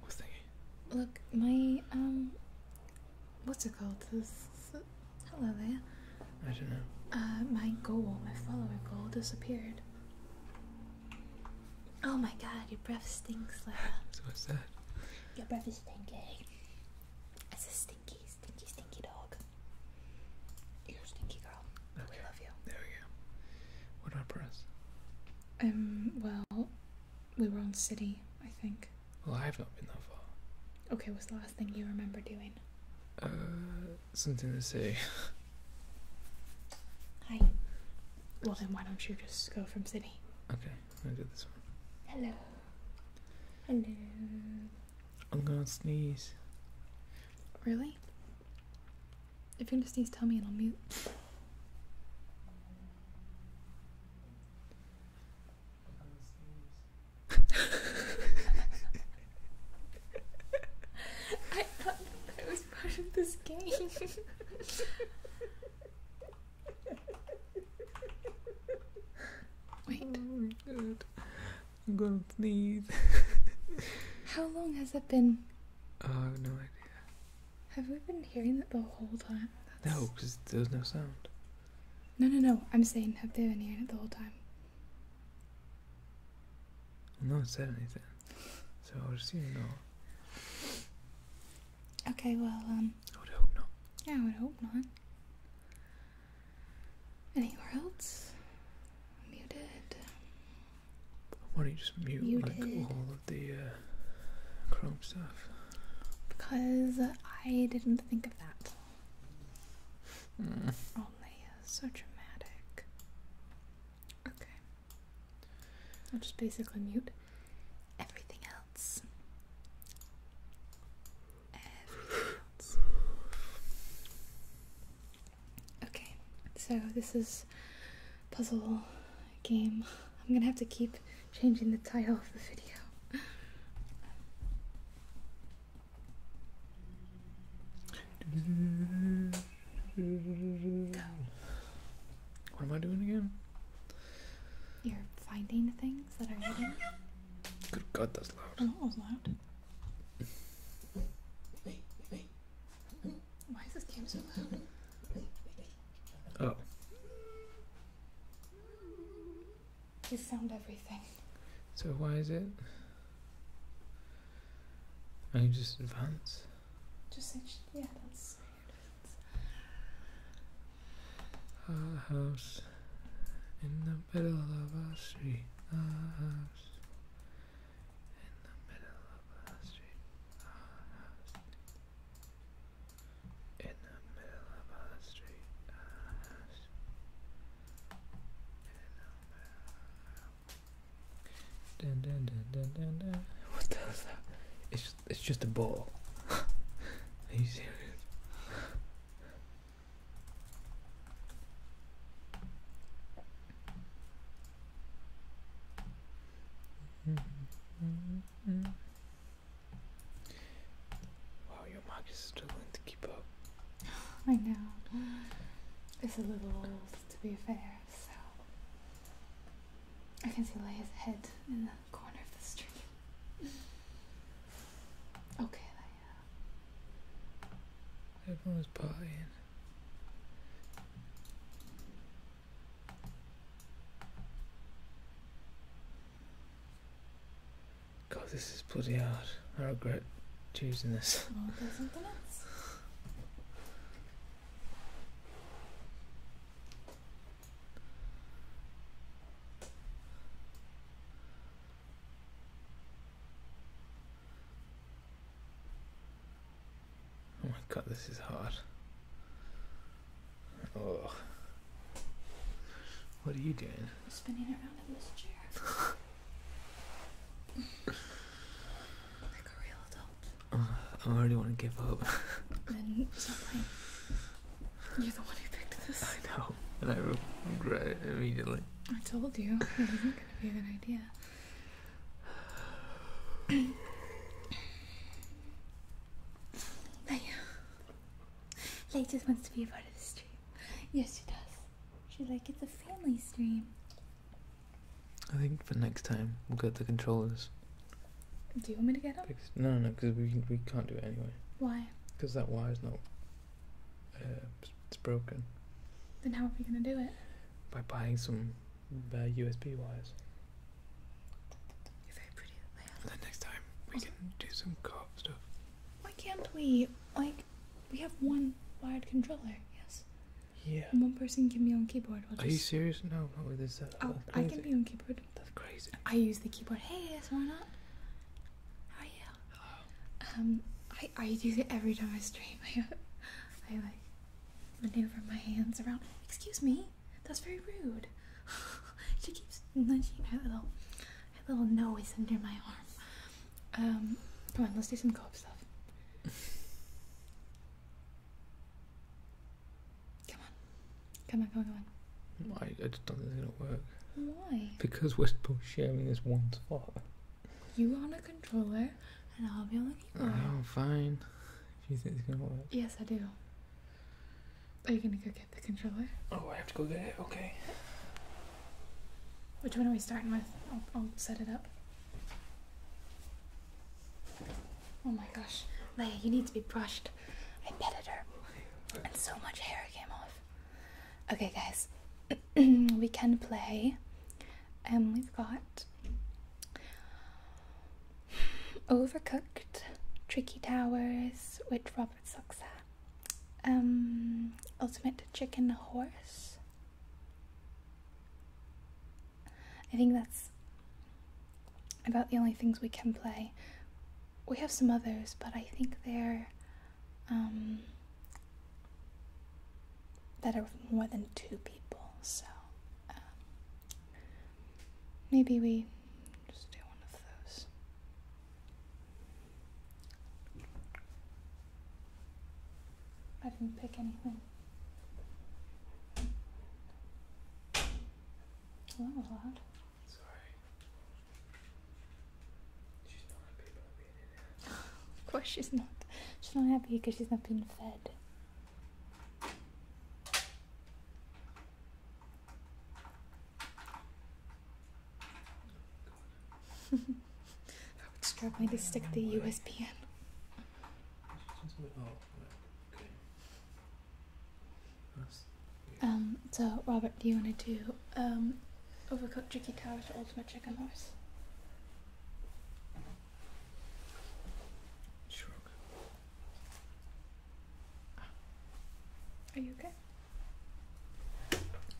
What thingy? Look, my um, what's it called? This, hello there. I don't know. Uh, my goal, my follower goal, disappeared. Oh my god, your breath stinks, Lara. so what's that? Your breath is stinky. It's a stinky stinky, stinky dog. You're a stinky girl. We love you. There we go. What do I press? Um, well, we were on City, I think. Well, I have not been that far. Okay, what's the last thing you remember doing? Uh, something to say. Hi. Well, then why don't you just go from City? Okay, I will do this one. Hello. Hello. I'm gonna sneeze. Really? If you're gonna sneeze, tell me and I'll mute. I thought that was part of this game. Wait. Oh I'm gonna sneeze. How long has it been? Oh, uh, I have no idea. Have we been hearing it the whole time? No, because there was no sound. No, no, no. I'm saying, have they been hearing it the whole time? No one said anything, so I would assume no. Okay, well, um. I would hope not. Yeah, I would hope not. Anywhere else? Muted. Why don't you just mute like all of the uh, Chrome stuff? Because I didn't think of that. Mm. Only uh, so dramatic. Okay. I'll just basically mute everything else. Okay, so this is puzzle game. I'm gonna have to keep changing the title of the video. Go. What am I doing again? You're finding things that are hidden. Good God, that's loud. Oh, why is this game so loud? Oh. You found everything. So why is it? I just advance. Just say, yeah, that's our house in the middle of our street. What the hell is that? It's just, it's just a ball. Are you serious? Wow, your mug is struggling to keep up. I know. It's a little old, to be fair, so. I can see Leia's head in the corner of the stream. Okay, Everyone was partying. God, this is bloody hard. I regret choosing this. Oh, there's something else. Oh my god, this is hard. Oh. What are you doing? I'm spinning around in this chair. like a real adult. Uh, I already want to give up. then stop You're the one who picked this. I know, and I regret it immediately. I told you it wasn't going to be a good idea. Leia. Leia just wants to be a part of this stream. Yes, she does. She's like, it's a family stream. I think for next time we'll get the controllers. Do you want me to get them? No, no, no. because we we can't do it anyway. Why? Because that wire's no. Uh, it's broken. Then how are we gonna do it? By buying some uh, USB wires. You're very pretty at that. Then next time we can do some co stuff. Why can't we? Like, we have one wired controller. Yes. Yeah. And one person can be on keyboard. we are you serious? No, not with this setup. Uh, oh, I can be on keyboard. That's crazy. I use the keyboard. Hey, yes, why not? How are you? Um, I I do it every time I stream. I I like maneuver my hands around. Excuse me, that's very rude. she keeps nudging her little her little nose under my arm. Um, come on, let's do some co stuff. come on, come on, come on, come on. I, I just don't think it's gonna work. Why? Because we're both sharing this one spot you on a controller and I'll be on the keyboard. Oh, fine. If you think it's gonna work. Yes, I do. Are you gonna go get the controller? Oh, I have to go get it? Okay. Which one are we starting with? I'll, I'll set it up. Oh my gosh. Leia, you need to be brushed. I petted her. And so much hair came off. Okay, guys, we can play. And um, we've got Overcooked, Tricky Towers, which Robert sucks at. Um, Ultimate Chicken Horse. I think that's about the only things we can play. We have some others, but I think they're um, that are more than two people. So um, maybe we just do one of those. I didn't pick anything. that was loud. Sorry of course she's not. She's not happy because she's not being fed. I am struggling to stick the USB in. Um, so Robert, do you want to do um, Overcooked Chicken Towers Ultimate Chicken Horse. Shrug. Are you okay?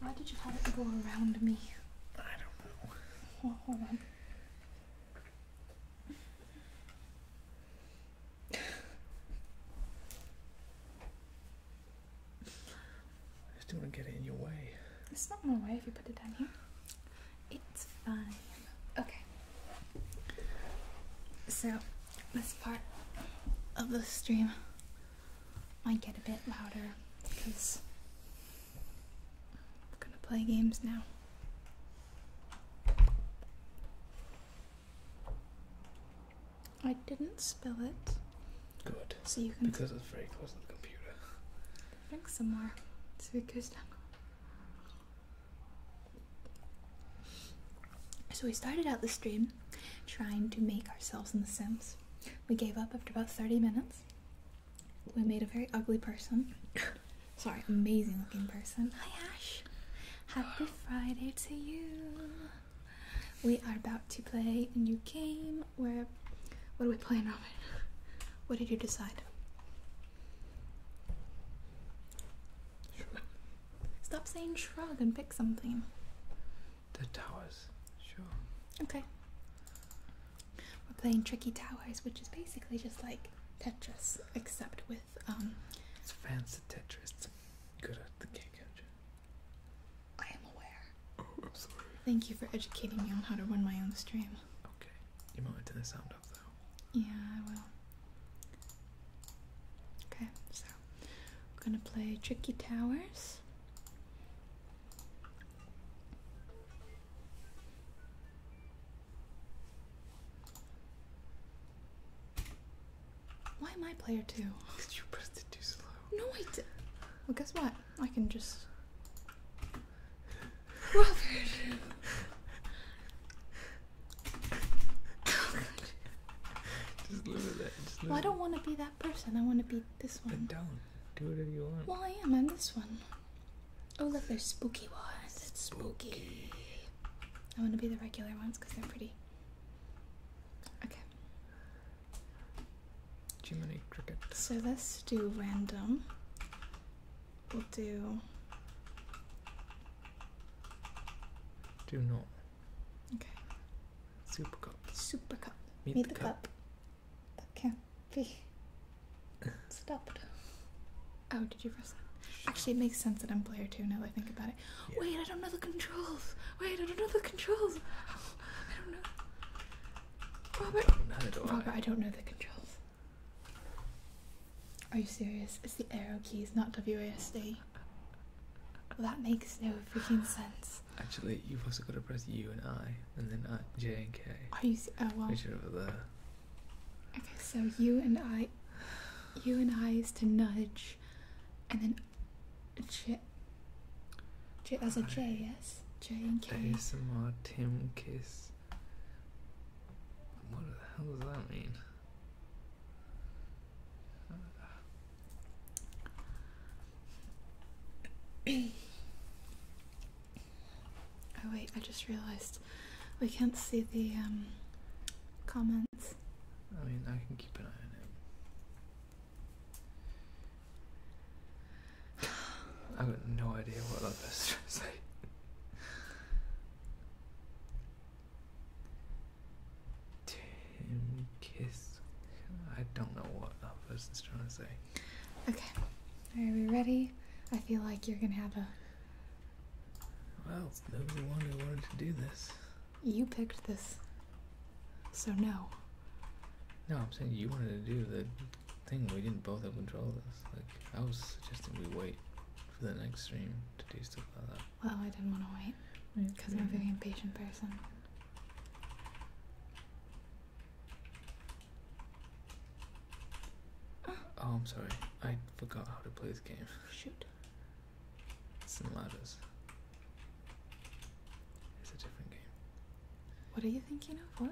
Why did you have it go around me? I don't know. hold on. I just don't want to get it in your way. It's not my way if you put it down here. It's fine. Okay. So, this part of the stream might get a bit louder because I'm gonna play games now. I didn't spill it. Good. So you can because it's very close to the computer. Drink some more. So So we started out the stream trying to make ourselves in The Sims. We gave up after about 30 minutes. We made a very ugly person. Sorry, amazing looking person. Hi Ash! Happy Friday to you! We are about to play a new game where what are we playing, Robin? What did you decide? Stop saying shrug and pick something. The towers. Sure. Okay. We're playing Tricky Towers, which is basically just like Tetris, except with um. It's fancy Tetris. Good at the game, I am aware. Oh, i Thank you for educating me on how to run my own stream. Okay. You might turn the sound up though. Yeah, I will. Okay, so we're gonna play Tricky Towers. Why am I player two? Cause you press it too slow? No, I did. Well, guess what? I can just I don't want to be that person. I want to be this one. Then don't. Do whatever you want. Well, I am. I'm this one. Oh, look, there's spooky ones. It's spooky. spooky. I want to be the regular ones because they're pretty. Okay. Jiminy Cricket. So let's do random. We'll do. Do not. Okay. Super cup. Super cup. Meet, Meet the, cup. That can't be stopped. Oh, did you press that? Actually, it makes sense that I'm player two now that I think about it. Wait, I don't know the controls. Wait, I don't know the controls. I don't know. Robert. Robert, I. don't know the controls. Are you serious? It's the arrow keys, not WASD. Well, that makes no freaking sense. Actually, you've also got to press U and I, and then J and K. Are you? Se- oh well. over there. Okay, so U and I, U and I is to nudge, and then J. J as a J, yes. Kiss. J and K. ASMR Tim Kiss. What the hell does that mean? oh wait, I just realised we can't see the um, comments. I mean, I can keep an eye on it. I've got no idea what that person's trying to say. Tim Kiss. I don't know what that person's trying to say. Okay. Are we ready? I feel like you're gonna have a. Well, was the one who wanted to do this. You picked this. So, no. No, I'm saying you wanted to do the thing, we didn't both have control of this. Like, I was suggesting we wait for the next stream to do stuff like that. Well, I didn't want to wait because I'm a very impatient person. Oh, I'm sorry. I forgot how to play this game. Shoot. It's in ladders. It's a different game. What are you thinking of? What?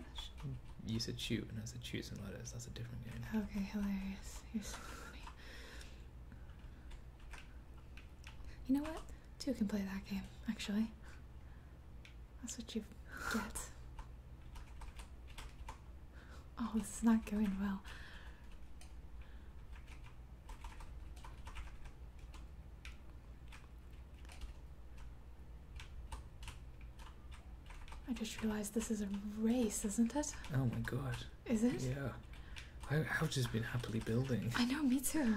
You said shoot, and I said choose and letters. That's a different game. Okay, hilarious. You're so funny. You know what? Two can play that game, actually. That's what you get. Oh, this is not going well. I just realized this is a race, isn't it? Oh my god. Is it? Yeah. I, have just been happily building. I know, me too.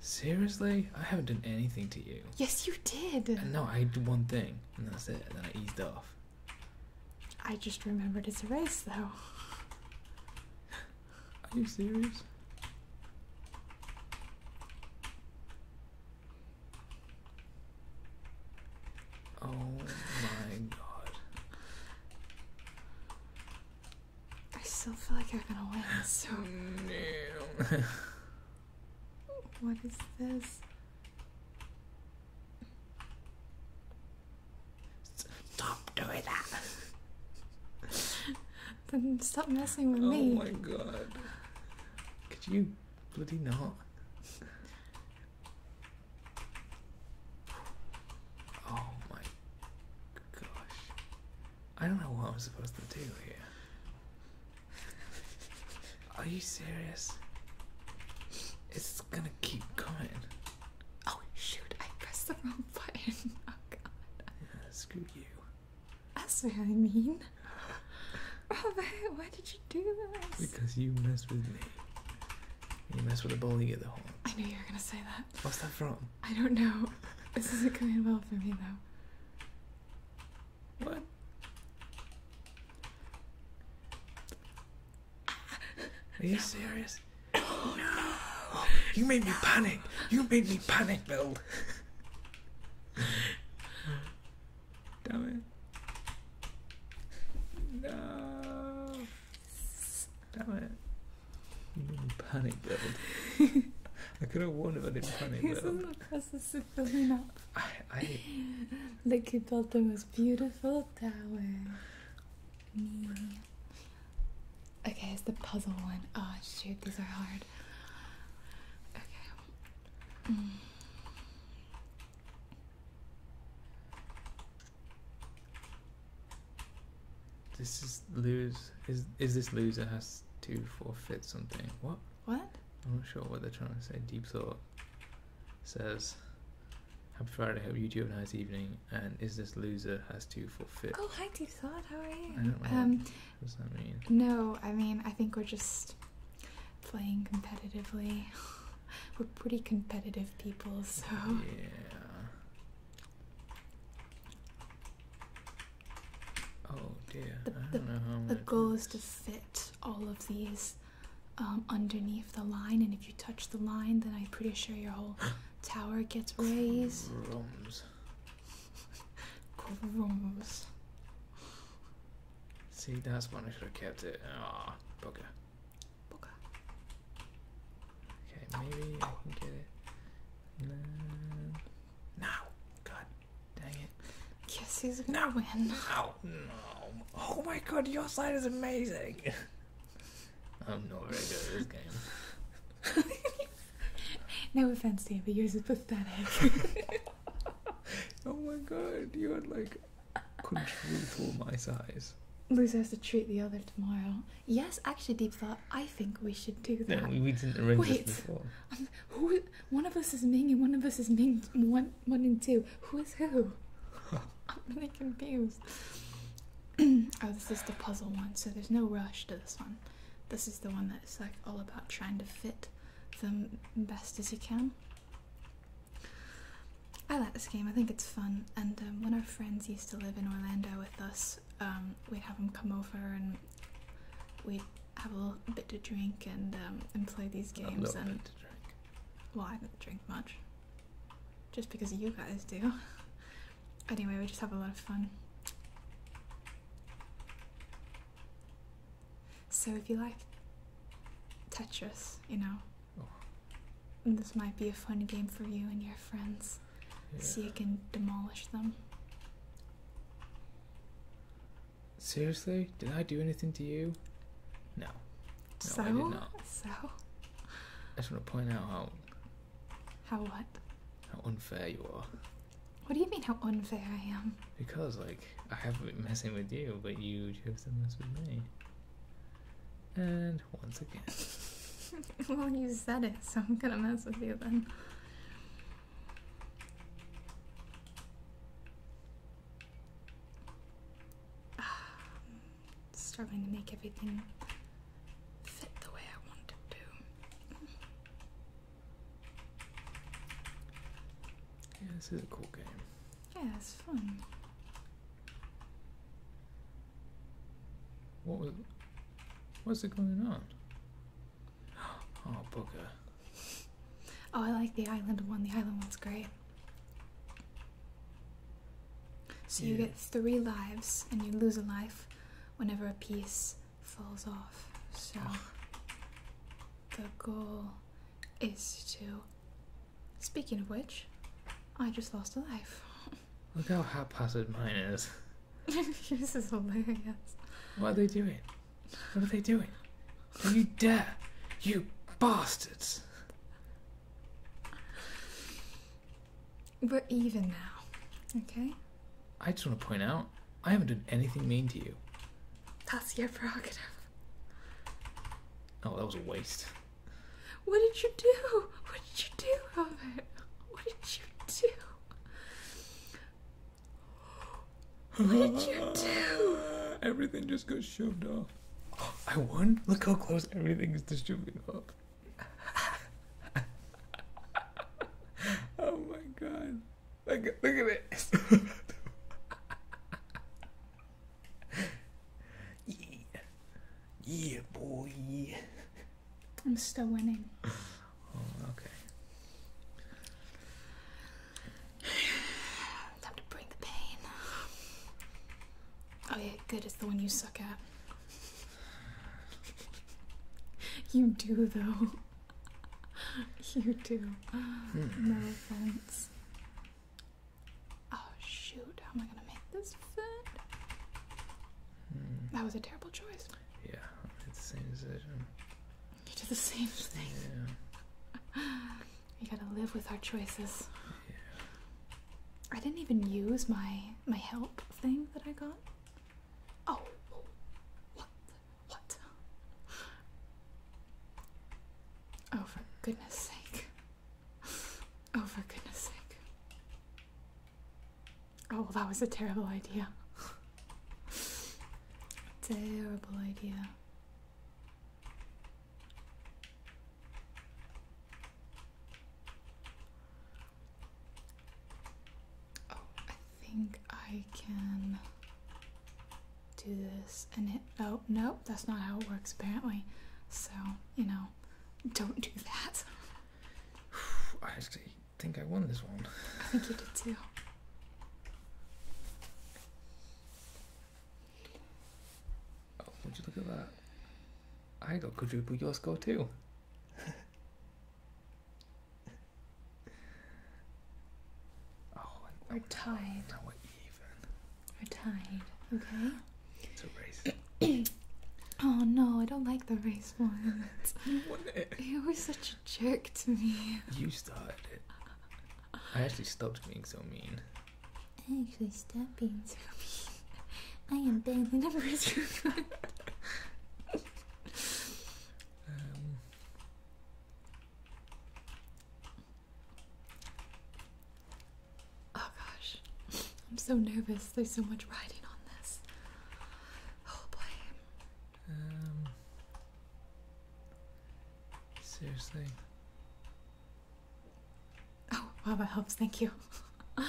Seriously? I haven't done anything to you. Yes, you did. no, I did one thing, and that's it. And then I eased off. I just remembered it's a race, though. Are you serious? Oh my god. I still feel like I'm gonna win, so. Damn. what is this? Stop doing that. Then stop messing with oh me. Oh my god. Could you bloody not? Oh my gosh. I don't know what I'm supposed to do here. Are you serious? It's gonna keep coming. Oh shoot, I pressed the wrong button. Oh god. Yeah, screw you. That's what I mean. Robert, why did you do this? Because you messed with me. You mess with a bull, you the home. I knew you were gonna say that. What's that from? I don't know. This isn't going well for me though. What? Are you serious? Oh, no. You made me panic. You made me panic, Bill. Damn it. No. Damn it. Panic build. I could have won if I didn't panic build. Isn't the process of building up? I, I... Like you built the most beautiful tower. Me. Okay, it's the puzzle one. Oh shoot, these are hard. Okay. Mm. This is lose. Is is this loser has to forfeit something? What? What? I'm not sure what they're trying to say. Deep thought says, "Happy Friday. Hope you two have a nice evening." And is this loser has to forfeit? Oh hi, Deep how are you? Um, no, I mean, I think we're just playing competitively. we're pretty competitive people, so. Yeah. Oh dear. The, goal is to fit all of these um, underneath the line, and if you touch the line, then I'm pretty sure your whole tower gets raised. Rose. See, that's when I should have kept it. Ah, oh, Okay, maybe I can get it. No. God dang it. Yes, he's gonna no. win. No. No. Oh my god, your side is amazing. I'm not very good at this game. no offense, Dan, but yours is pathetic. oh my god, you are like control for my size. Loser has to treat the other tomorrow. Yes, actually, deep thought. I think we should do that. No, we didn't arrange Wait, this before. Um, who? One of us is Ming and one of us is Ming. One, one and two. Who is who? I'm really confused. oh, this is the puzzle one, so there's no rush to this one. This is the one that's like all about trying to fit them best as you can. I like this game, I think it's fun. And um, when our friends used to live in Orlando with us, um, we'd have them come over and we'd have a bit to drink and, um, and play these games. A and bit to drink. Well, I don't drink much. Just because you guys do. Anyway, we just have a lot of fun. So if you like Tetris, you know, oh. this might be a fun game for you and your friends. See So you can demolish them. Seriously? Did I do anything to you? No. No, I did not. So? I just want to point out how how what? How unfair you are. What do you mean, how unfair I am? Because, like, I have been messing with you, but you have been messing with me. And once again. well, you said it, so I'm gonna mess with you then. Struggling to make everything fit the way I want it to. Yeah, this is a cool game. Yeah, it's fun. What was what's it going on? Oh poker. Oh I like the island one. The island one's great. So you get three lives and you lose a life whenever a piece falls off. So the goal is to. Speaking of which, I just lost a life. Look how haphazard mine is. this is hilarious. Why are they doing? What are they doing? you dare! You bastards! We're even now, okay? I just want to point out, I haven't done anything mean to you. That's your prerogative. Oh, that was a waste. What did you do? What did you do, Robert? What did you do? What did you do? Everything just got shoved off. I won? Look how close everything is to shoving off. oh my god. Look, look at this. yeah. Yeah, boy. I'm still winning. Oh, okay. Time to bring the pain. Oh, yeah, good. It's the one you suck at. You do, though. you too. Hmm. no offense. Oh shoot! How am I gonna make this fit? That was a terrible choice. Yeah, I made the same decision. You did the same thing. Yeah. we gotta live with our choices. Yeah. I didn't even use my my help thing that I got. Oh, oh what what? Oh, for goodness sake. Oh, for goodness sake. Oh, well, that was a terrible idea. terrible idea. Oh, I think I can do this and it. Oh, no, that's not how it works apparently. So, you know, don't do that. I actually think I won this one. I think you did too. Oh, would you look at that? I got quadruple your score too. Oh, we're tied. Now we're even. We're tied. Okay. It's a race. oh no, I don't like the race one. you were such a jerk to me. You started it. I actually stopped being so mean. I actually stopped being so mean. I am bad. The number Oh gosh, I'm so nervous. There's so much writing on this. Oh boy. Um. Seriously. Oh, wow, that helps. Thank you.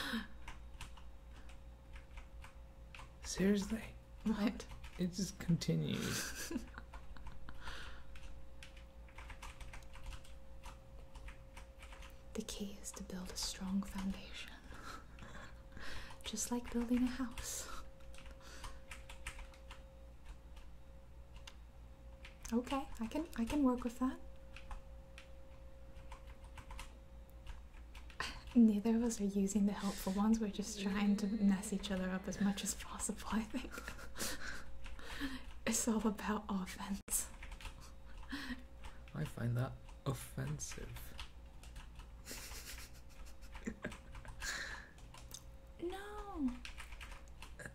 Seriously? What? It just continues. the key is to build a strong foundation. just like building a house. Okay, I can I can work with that. Neither of us are using the helpful ones, we're just trying to mess each other up as much as possible, I think. it's all about offense. I find that offensive. no.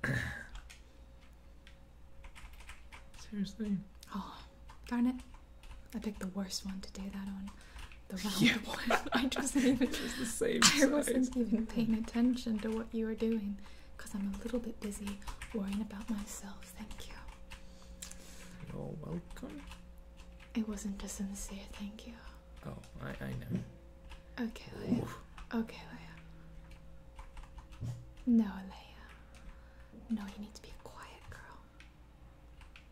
Seriously. Oh, darn it. I picked the worst one to do that on. The round yeah. one. I just even just the same. I wasn't even paying attention to what you were doing, because I'm a little bit busy worrying about myself. Thank you. You're welcome. It wasn't a sincere thank you. Oh, I I know. Okay, Leia. Okay, Leia. No, Leia. No, you need to be a quiet girl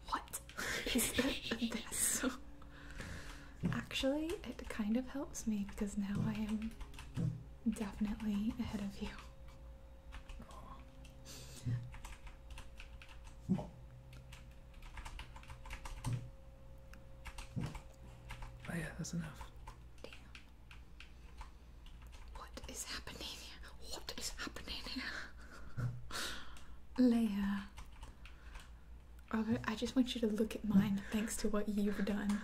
what is this? Actually, it kind of helps me because now I am definitely ahead of you. Oh, yeah, that's enough. Damn. What is happening here? What is happening here? Leia. Robert, I just want you to look at mine thanks to what you've done.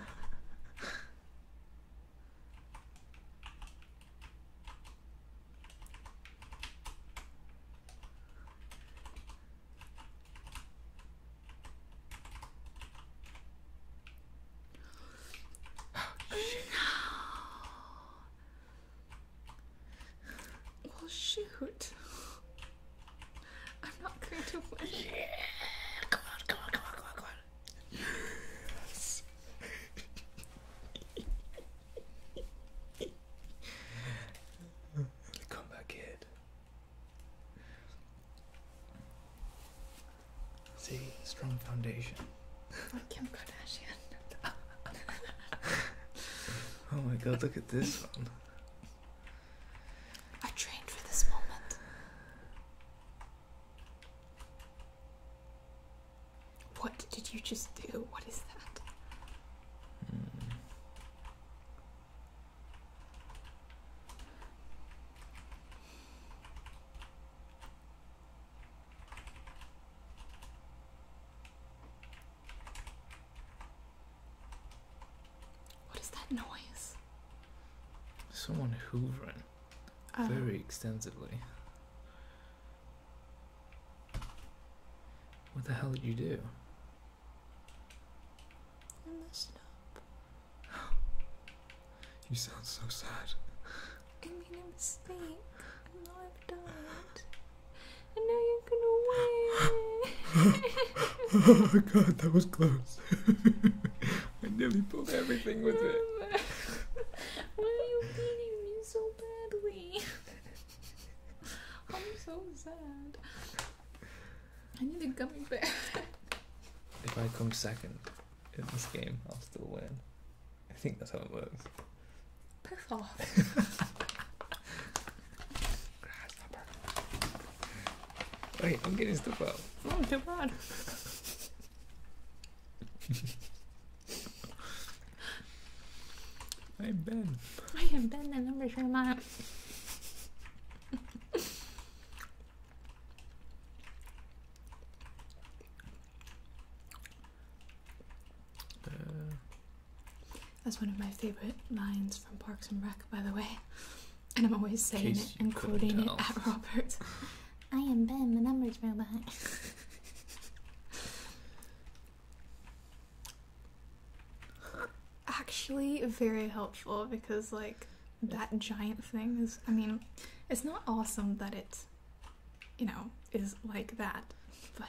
Oh, no. Well, shoot. I'm not going to win. Come on, come on, come on, come on, come on. come back in. See, strong foundation. Like Kim Kardashian oh my god, look at this I trained for this moment. What did you just do? What is that? What is that noise? Someone hoovering oh. very extensively. What the hell did you do? I messed up. you sound so sad. I made a mistake. I I've done it. And now you're gonna win. oh god, that was close. I nearly pulled everything with it. Why are you beating me so badly? I'm so sad. I need a gummy bear. if I come second in this game, I'll still win. I think that's how it works. Piss I'm getting stuff out. Oh, too bad. I'm Ben. I am Ben, the number sure amount. Uh, that's one of my favorite lines from Parks and Rec, by the way. And I'm always saying it and quoting it at Robert. I am Ben, the numbers robot. Actually, very helpful because, like, that giant thing is. I mean, it's not awesome that it, you know, is like that, but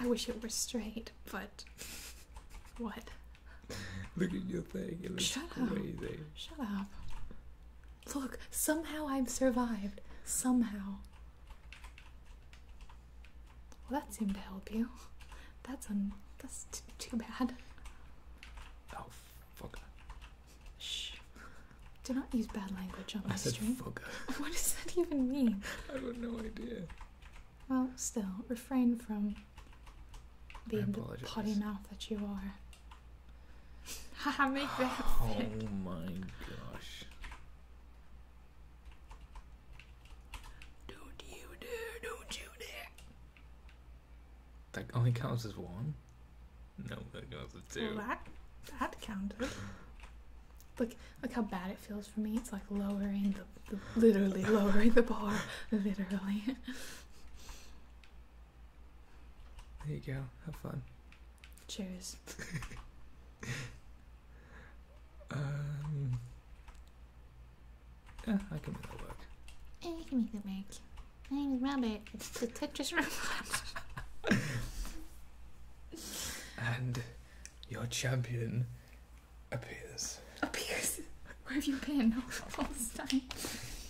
I wish it were straight, but what? Look at your thing. It Shut crazy. Up. Shut up. Look, somehow I've survived. Somehow. Well, that seemed to help you. That's un. That's too bad. Oh, fuck. Shh. Do not use bad language on I the stream. Fuck. What does that even mean? I have no idea. Well, still, refrain from being the potty mouth that you are. Haha, make that. Oh my gosh. Don't you dare, don't you dare. That only counts as one? No, that counts as two. that counted. Look, look how bad it feels for me. It's like lowering the, literally lowering the bar, literally. There you go. Have fun. Cheers. um. Yeah, I can make that work. You can make that work. My name is Robert. It's the Tetris Robot. and your champion appears. Appears. Where have you been all this time?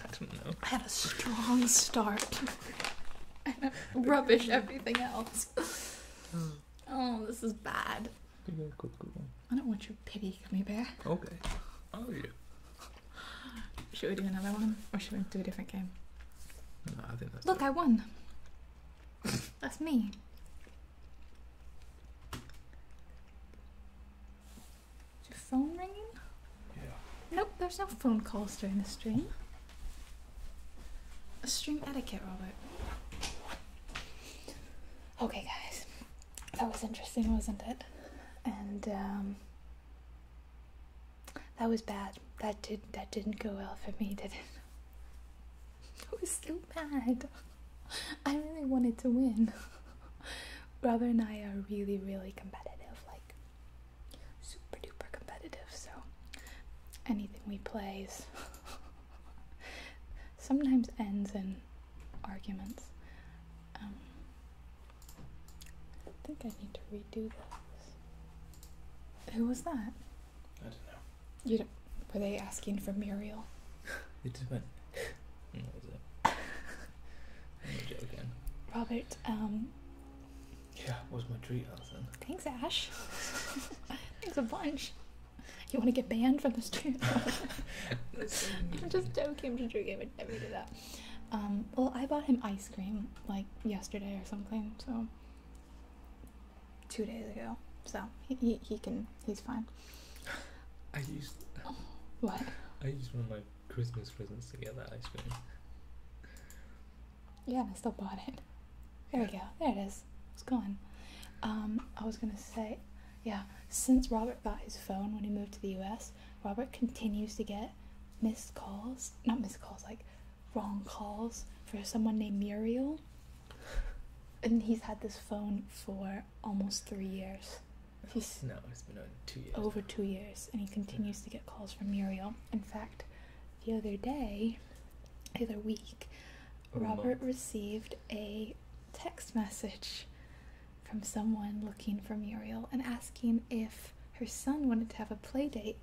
I don't know. I had a strong start. I rubbish everything else. Hmm. oh, this is bad. I don't want your pity gummy bear. Okay. Oh yeah. Should we do another one, or should we do a different game? No, I think that's. Look, I won. That's me. Is your phone ringing? Yeah. Nope, there's no phone calls during the stream. A stream etiquette, Robert. Okay, guys. That was interesting, wasn't it? And um, that was bad. That did that didn't go well for me, did it? I was too bad. I really wanted to win. Brother and I are really, really competitive, like super duper competitive, so anything we play is sometimes ends in arguments. Um, I think I need to redo this. Who was that? I don't know. You do were they asking for Muriel? It's just went. that was it. I'm joking. Robert, um, Yeah, was my treat, Alison? Thanks, Ash. thanks a bunch. You want to get banned from this channel? I'm just joking. I'm just joking. I never do that. Um, well, I bought him ice cream like yesterday or something, so two days ago. So he, he, can he's fine. I used what? I used one of my Christmas presents to get that ice cream. Yeah, and I still bought it. There we go. There it is. It's gone. Um, I was gonna say, yeah. Since Robert got his phone when he moved to the U.S., Robert continues to get missed calls, not missed calls, like wrong calls for someone named Muriel and he's had this phone for almost three years. no, it's been two years. Over two years, and he continues to get calls from Muriel. In fact, the other day, the other week, Robert received a text message from someone looking for Muriel and asking if her son wanted to have a play date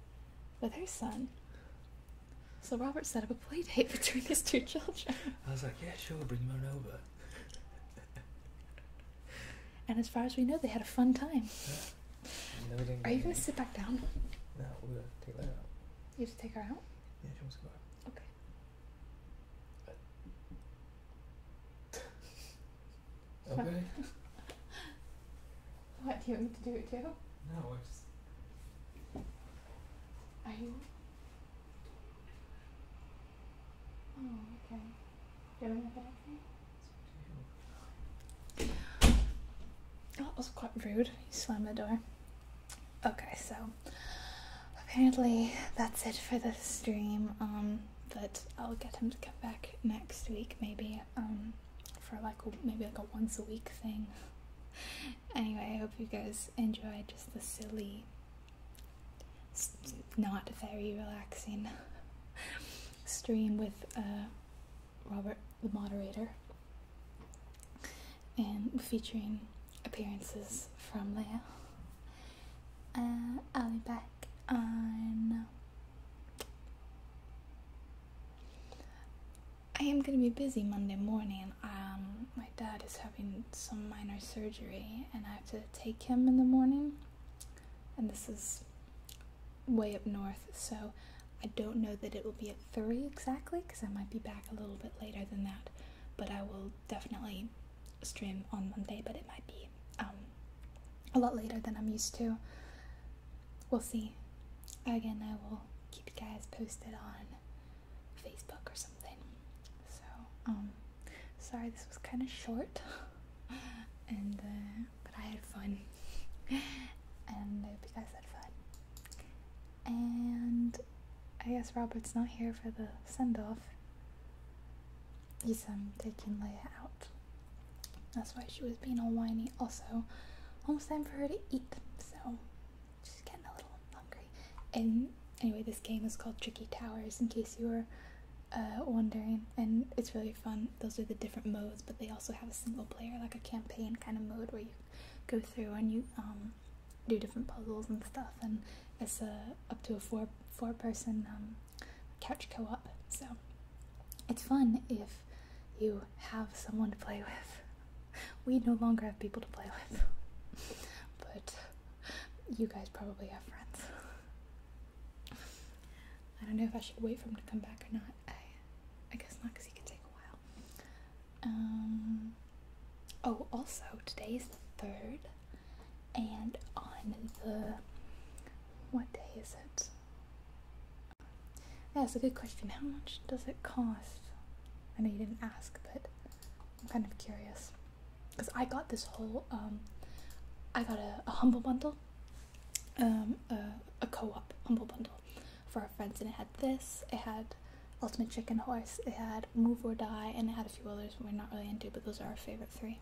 with her son. So Robert set up a play date between his two children. I was like, yeah, sure, bring them on over. and as far as we know, they had a fun time. Are you going to sit back down? No, we're going to take that out. You have to take her out? Yeah, she wants to go out. Okay. Okay. what, do you want me to do it too? No, I just. !aiyo! Oh, okay. Doing a That was quite rude. He slammed the door. Okay, so apparently that's it for the stream. Um, but I'll get him to come back next week, maybe. Um, for like maybe like a once a week thing anyway, I hope you guys enjoy just the silly, not very relaxing stream with uh, Robert, the moderator, and featuring appearances from Leia. Uh, I'll be back on I am gonna be busy Monday morning. Um, my dad is having some minor surgery, and I have to take him in the morning. And this is way up north, so I don't know that it will be at three exactly, because I might be back a little bit later than that. But I will definitely stream on Monday, but it might be um, a lot later than I'm used to. We'll see. Again, I will keep you guys posted on Facebook or something. So, um, sorry this was kind of short, and uh, but I had fun, and hope you guys had fun. And I guess Robert's not here for the send off. He's um taking Leia out. That's why she was being all whiny. Also, almost time for her to eat. So just getting a little hungry. And anyway, this game is called Tricky Towers, in case you were uh, wondering, and it's really fun. Those are the different modes, but they also have a single player, like a campaign kind of mode where you go through and you um, do different puzzles and stuff, and it's a, uh, up to a four four person um, couch co op. So it's fun if you have someone to play with we no longer have people to play with. but you guys probably have friends. I don't know if I should wait for him to come back or not. I, I guess not because he can take a while. Um. Oh, also today's the third, and on the what day is it? That's a good question. How much does it cost? I know you didn't ask, but I'm kind of curious because I got this whole um, I got a, humble bundle, um, a, co-op humble bundle for our friends, and it had this, it had Ultimate Chicken Horse, it had Move or Die, and it had a few others we're not really into, but those are our favorite three,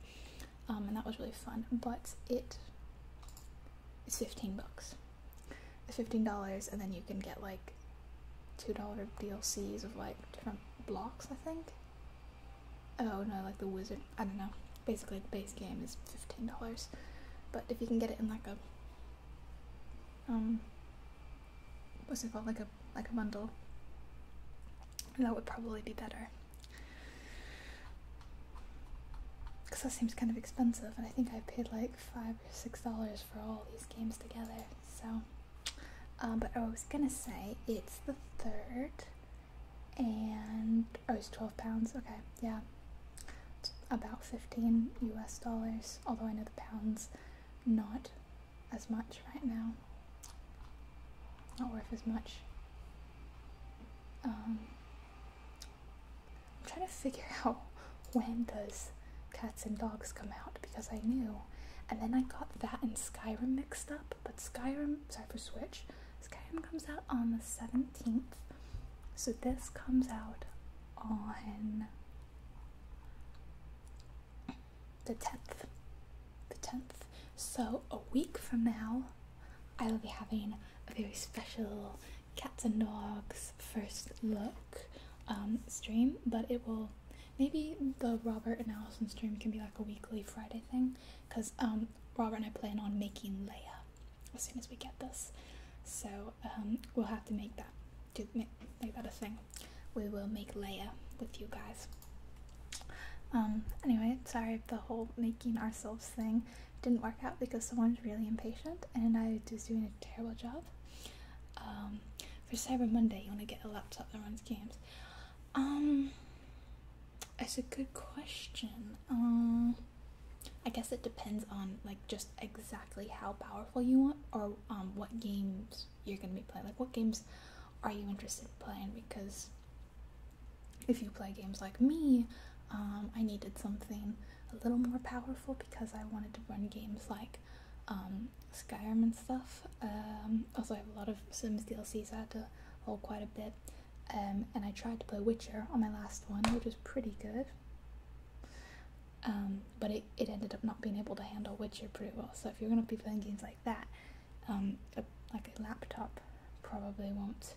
um, and that was really fun. But it it's fifteen bucks, $15 and then you can get like $2 DLCs of like different blocks, I think. Oh no, like the wizard, I don't know. Basically, the base game is $15. But if you can get it in like a um what's it called like a like a bundle that would probably be better because that seems kind of expensive and i think i paid like five or six dollars for all these games together so, um, but I was gonna say it's the third, and oh, it's 12 pounds. Okay, yeah, it's about 15 US dollars, although I know the pounds not as much right now, not worth as much. Um, I'm trying to figure out when does cats and dogs come out because I knew. And then I got that and Skyrim mixed up, but Skyrim, sorry for Switch, Skyrim comes out on the 17th. So this comes out on the 10th. The 10th. So a week from now, I will be having a very special cats and dogs first look um, stream, but it will Maybe the Robert and Allison stream can be like a weekly Friday thing, because um, Robert and I plan on making Leia as soon as we get this. So um, we'll have to make that to make, that a thing. We will make Leia with you guys. Um, anyway, sorry the whole making ourselves thing didn't work out because someone was really impatient and I was doing a terrible job. Um, for Cyber Monday, you want to get a laptop that runs games? Um, it's a good question. Um, I guess it depends on like just exactly how powerful you want, or um, what games you're gonna be playing. Like, what games are you interested playing? Because if you play games like me, um, I needed something a little more powerful because I wanted to run games like um, Skyrim and stuff. Um, also, I have a lot of Sims DLCs I had to hold quite a bit. Um, and I tried to play Witcher on my last one, which was pretty good. Um, but it, it ended up not being able to handle Witcher pretty well. So if you're going to be playing games like that, like a laptop probably won't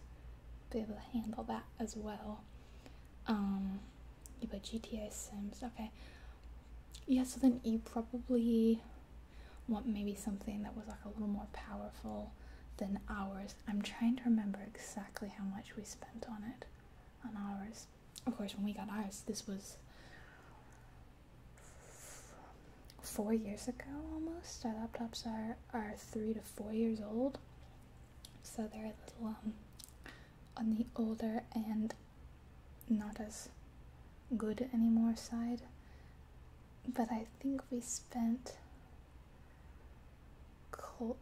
be able to handle that as well. You but GTA Sims. Okay. Yeah, so then you probably want maybe something that was like a little more powerful than ours. I'm trying to remember exactly how much we spent on it. On ours. Of course, when we got ours, this was four years ago almost. Our laptops are, are three to four years old. So they're a little, um, on the older and not as good anymore side. But I think we spent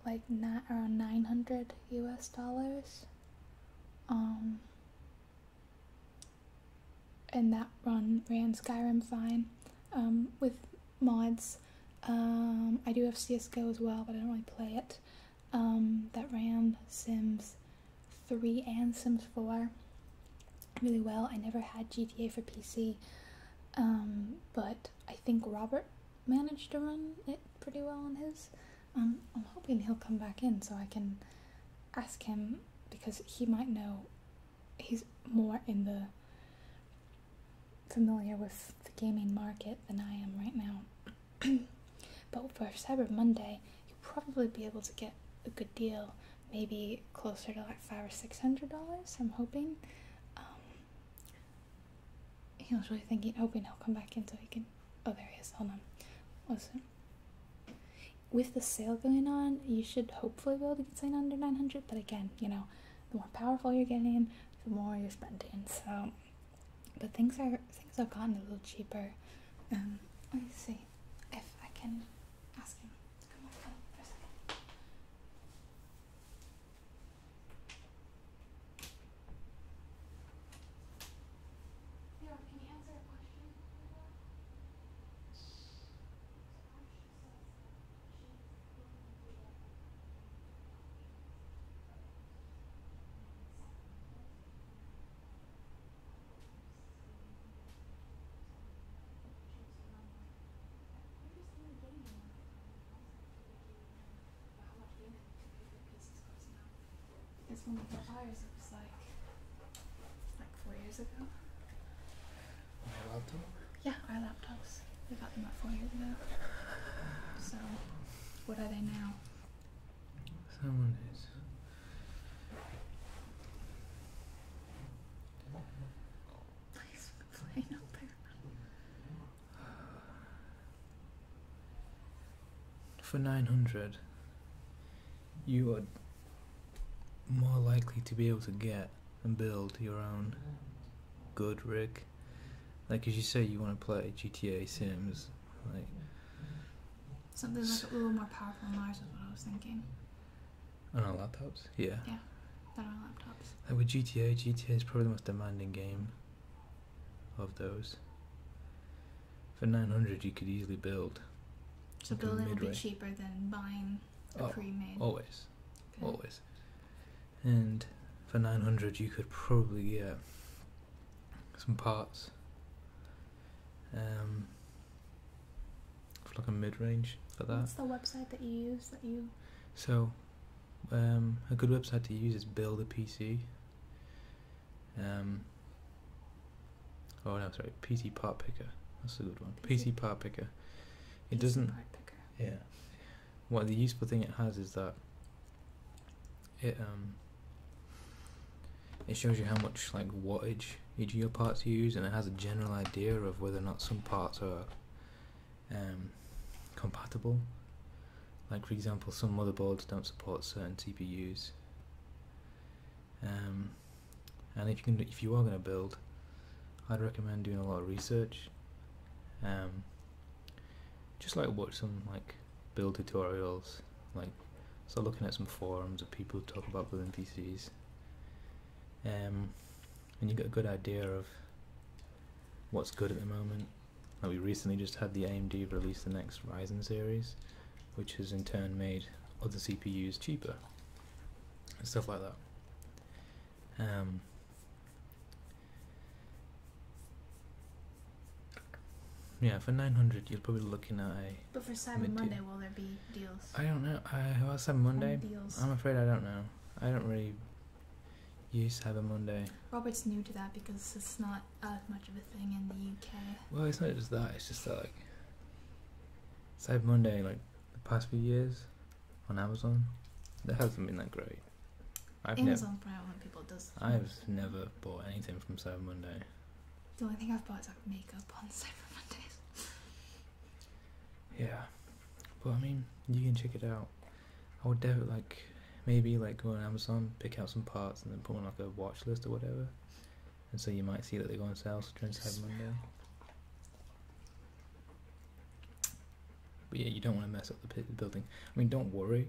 like not around 900 US dollars. and um, that run ran Skyrim fine um, with mods. Um, I do have CSGO as well, but I don't really play it. Um, that ran Sims 3 and Sims 4 really well. I never had GTA for PC, um, but I think Robert managed to run it pretty well on his. Um, I'm hoping he'll come back in so I can ask him because he might know. He's more in the familiar with the gaming market than I am right now. but for Cyber Monday, you'll probably be able to get a good deal, maybe closer to like five or six hundred dollars. I'm hoping. Um, he was really thinking, hoping he'll come back in so he can. Oh, there he is. Hold on. Listen. With the sale going on, you should hopefully be able to get something under 900 but again, you know, the more powerful you're getting, the more you're spending. So but things are things have gotten a little cheaper. Um, let me see if I can ask him. Come on, Yeah, can you answer a question? Because when we got ours, it was like like four years ago. My laptop? Yeah, our laptops. We got them about four years ago. So, what are they now? Someone is. Please playing out there. For 900, you are more likely to be able to get and build your own good rig. Like as you say, you want to play GTA Sims something like a little more powerful than ours is what I was thinking. On our laptops, yeah. Yeah, than our laptops. Like with GTA, GTA is probably the most demanding game of those. For nine hundred, you could easily build. So building would be cheaper than buying a oh, pre-made. Always, always. And for nine hundred, you could probably get some parts. Um, like a mid range for that. What's the website that you use that you? So, um, a good website to use is Build a PC. Um, oh no, sorry, PC Part Picker. That's a good one. PC, Part Picker. It doesn't. Picker. Yeah. What well, the useful thing it has is that it um it shows you how much like wattage each of your parts use and it has a general idea of whether or not some parts are um, compatible like for example some motherboards don't support certain CPUs um, and if you can if you are going to build I'd recommend doing a lot of research um, just like watch some like build tutorials, like start looking at some forums of people who talk about building PCs. Um, and you get a good idea of what's good at the moment. Like we recently just had the AMD release the next Ryzen series, which has in turn made other CPUs cheaper, and stuff like that. Um, yeah, for nine hundred, you're probably looking at a. But for Cyber mid-tier. Monday, will there be deals? I don't know. I was Cyber Monday? Deals. I'm afraid I don't know. I don't really use Cyber Monday. Robert's new to that because it's not much of a thing in the UK. Well, it's not just that. It's just that like Cyber Monday, like the past few years on Amazon, that hasn't been that great. I've Amazon's nev- people does. I've never bought anything from Cyber Monday. The only thing I've bought is like makeup on Cyber Mondays. Yeah, but I mean, you can check it out. I would definitely like maybe like go on Amazon, pick out some parts, and then put on like a watch list or whatever. And so you might see that they go on sale during Cyber Monday. But yeah, you don't want to mess up the building. I mean, don't worry,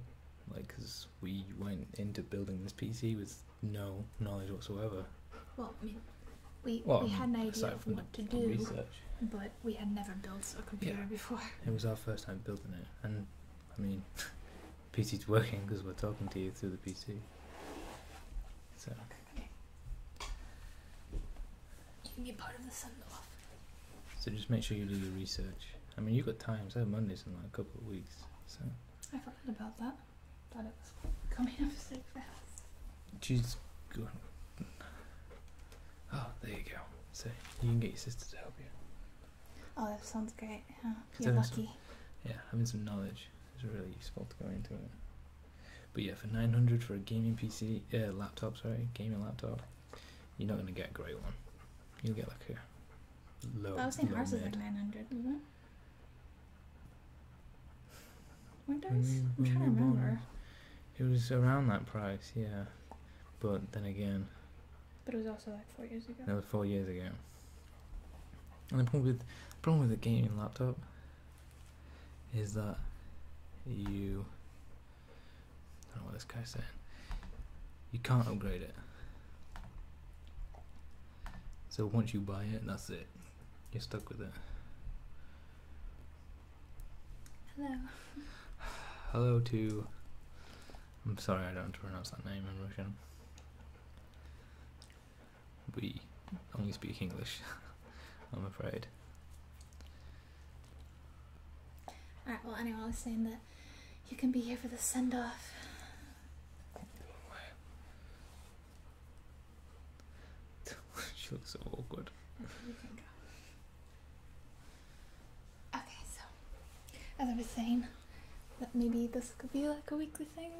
like, cause we went into building this PC with no knowledge whatsoever. Well, we, we had no idea of what to do, but we had never built a computer before. It was our first time building it, and I mean, PC's working because we're talking to you through the PC. So. Okay. You can be part of the So just make sure you do your research. I mean, you've got time, so Monday's in like a couple of weeks, so. I forgot about that. Thought it was coming up so fast. She's good. Oh, there you go. So you can get your sister to help you. Oh, that sounds great. You're lucky. yeah, having some knowledge is really useful to go into it. But yeah, for 900 for a gaming PC, uh, laptop, sorry, gaming laptop, you're not going to get a great one. You'll get like a low. I was saying low ours mid. like 900, isn't it? When s- I'm trying to remember. It was around that price, yeah. But then again, But it was also like four years ago. that was four years ago. And the problem with the problem with a gaming laptop is that you don't know what this guy's saying. You can't upgrade it. So once you buy it, that's it. You're stuck with it. Hello. Hello to. I'm sorry, I don't pronounce that name in Russian. We only speak English, I'm afraid. Alright, well, anyone was saying that you can be here for the send off. she looks so awkward. Okay, so as I was saying, that maybe this could be like a weekly thing,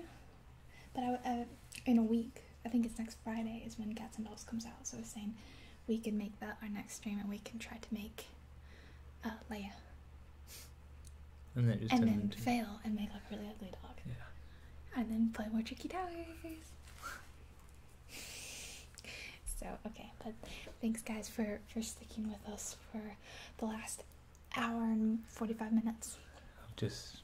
but I, in a week, I think it's next Friday is when Cats and Dolls comes out. So I was saying we can make that our next stream, and we can try to make uh, Leia and then, and fail and make like a really ugly dog. Yeah. And then play more tricky towers. so okay, but thanks guys for for sticking with us for the last hour and forty five minutes. Just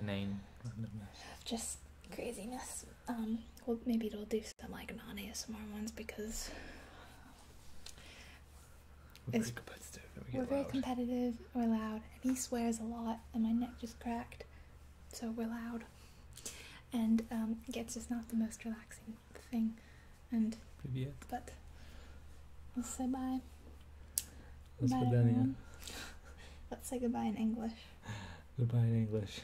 inane randomness. Just craziness. Um, well maybe it'll do some like non ASMR ones because we're very competitive. we are very competitive. We're loud, and he swears a lot, and my neck just cracked. So we're loud, and it um, gets just not the most relaxing thing. And but let's say bye. Let's bye, everyone. Let's say goodbye in English. Goodbye in English.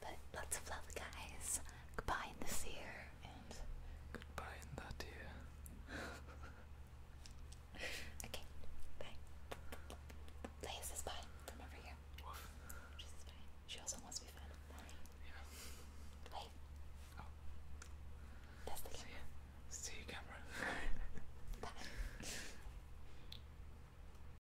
But lots of love, guys. Goodbye in this year, and goodbye in that year. okay, bye. Leia says bye from over here. Woof. She She also wants to be fun. Yeah. Leia. Oh. That's the See See you, camera. bye.